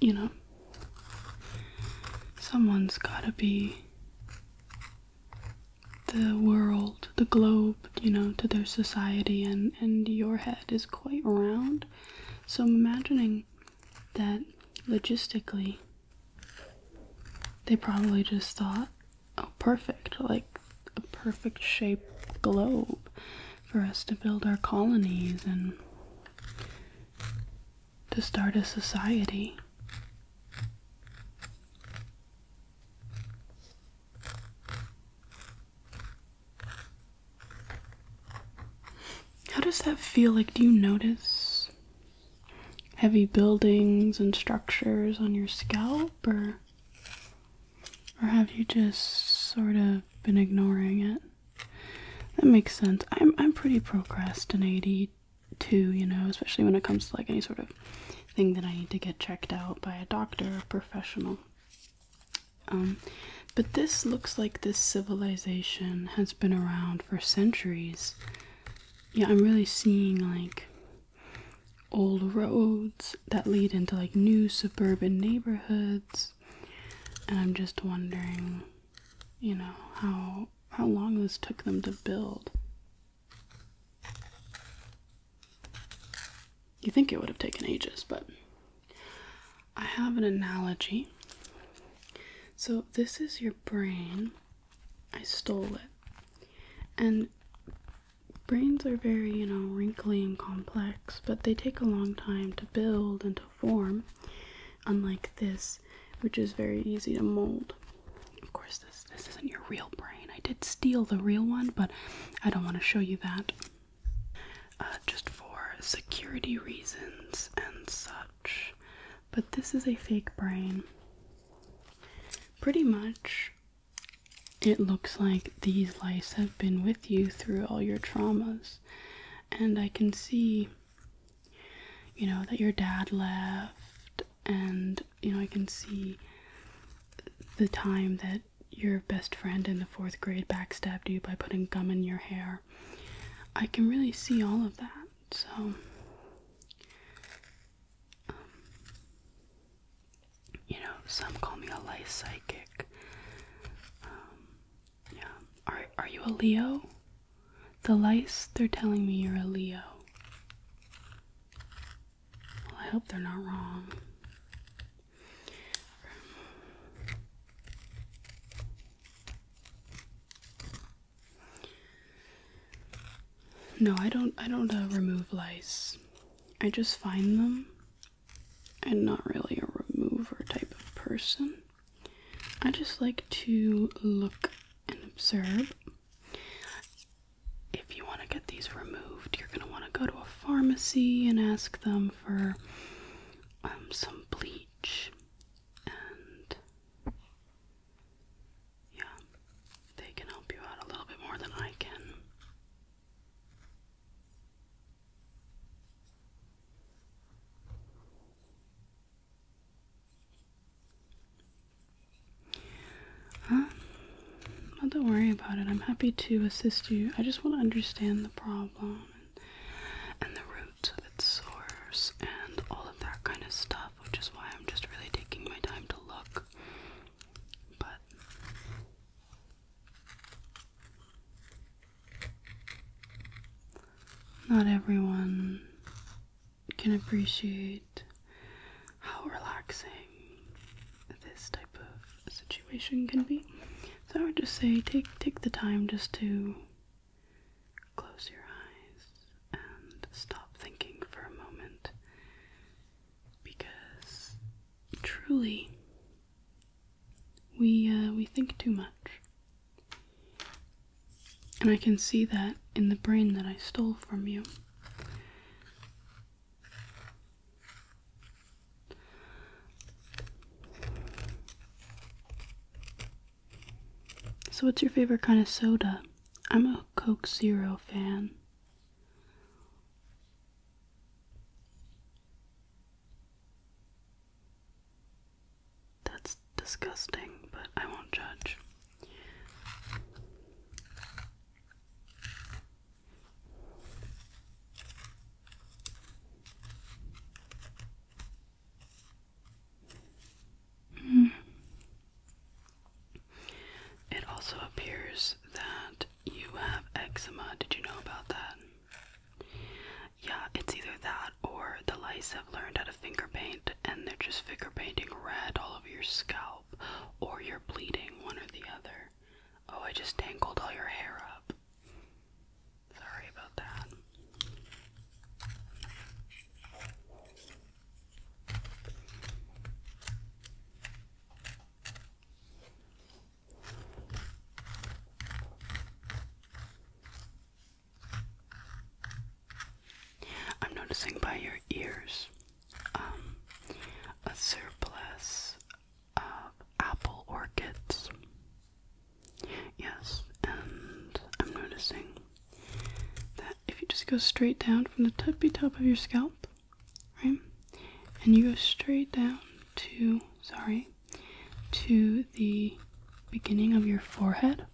you know, someone's gotta be the world, the globe, you know, to their society, and, and your head is quite round. So I'm imagining that logistically they probably just thought, oh, perfect, like a perfect shape globe for us to build our colonies and to start a society. How does that feel? Like, do you notice heavy buildings and structures on your scalp or or have you just sort of been ignoring it? That makes sense. I'm I'm pretty procrastinating too, you know, especially when it comes to like any sort of thing that I need to get checked out by a doctor or professional. Um, but this looks like this civilization has been around for centuries yeah, I'm really seeing like old roads that lead into like new suburban neighborhoods. And I'm just wondering, you know, how how long this took them to build. You think it would have taken ages, but I have an analogy. So, this is your brain I stole it. And brains are very, you know, wrinkly and complex, but they take a long time to build and to form, unlike this, which is very easy to mold. Of course, this this isn't your real brain. I did steal the real one, but I don't want to show you that. Uh, just for security reasons and such but this is a fake brain. Pretty much, it looks like these lice have been with you through all your traumas, and I can see, you know, that your dad left, and you know, I can see the time that your best friend in the fourth grade backstabbed you by putting gum in your hair. I can really see all of that. So, um, you know, some call me a life psychic. Um, yeah. Are are you a Leo? The lice, they're telling me you're a Leo. Well, I hope they're not wrong. No, I don't I don't uh, remove lice. I just find them. I'm not really a remover type of person. I just like to look and observe. If you want to get these removed, you're going to want to go to a pharmacy and ask them for um, some bleach and yeah, they can help you out a little bit more than I can. Um, well, don't worry about it. I'm happy to assist you. I just want to understand the problem and, and the roots of its source and all of that kind of stuff which is why I'm just really taking my time to look. But not everyone can appreciate how relaxing this type of situation can be. So I would just say take take the time just to Close your eyes and stop thinking for a moment because truly we uh, we think too much. And I can see that in the brain that I stole from you. So, what's your favorite kind of soda? I'm a Coke Zero fan. That's disgusting, but I won't judge. It also appears that you have eczema. Did you know about that? Yeah, it's either that or the lice have learned how to finger paint and they're just finger painting red all over your scalp or you're bleeding, one or the other. Oh, I just tangled all your hair up. Sorry about that. I'm noticing by your ears um, a surplus of apple orchids. Yes, and I'm noticing that if you just go straight down from the tippy top of your scalp, right, and you go straight down to, sorry, to the beginning of your forehead,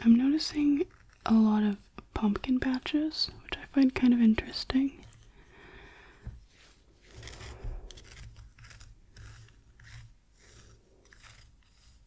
I'm noticing a lot of pumpkin patches, which I find kind of interesting.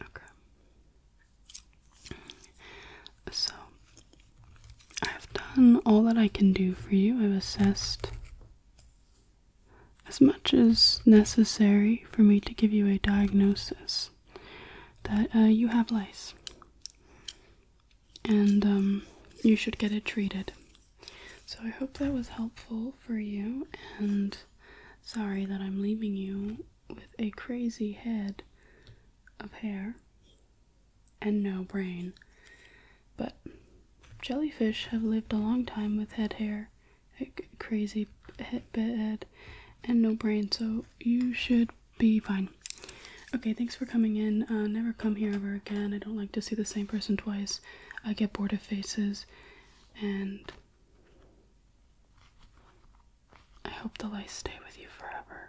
Okay. So, I have done all that I can do for you. I've assessed as much as necessary for me to give you a diagnosis that uh, you have lice. And um, you should get it treated so I hope that was helpful for you, and sorry that I'm leaving you with a crazy head of hair and no brain. But jellyfish have lived a long time with head hair, crazy head, and no brain, so you should be fine. Okay, thanks for coming in. Uh, never come here ever again. I don't like to see the same person twice. I get bored of faces, and I hope the lights stay with you forever.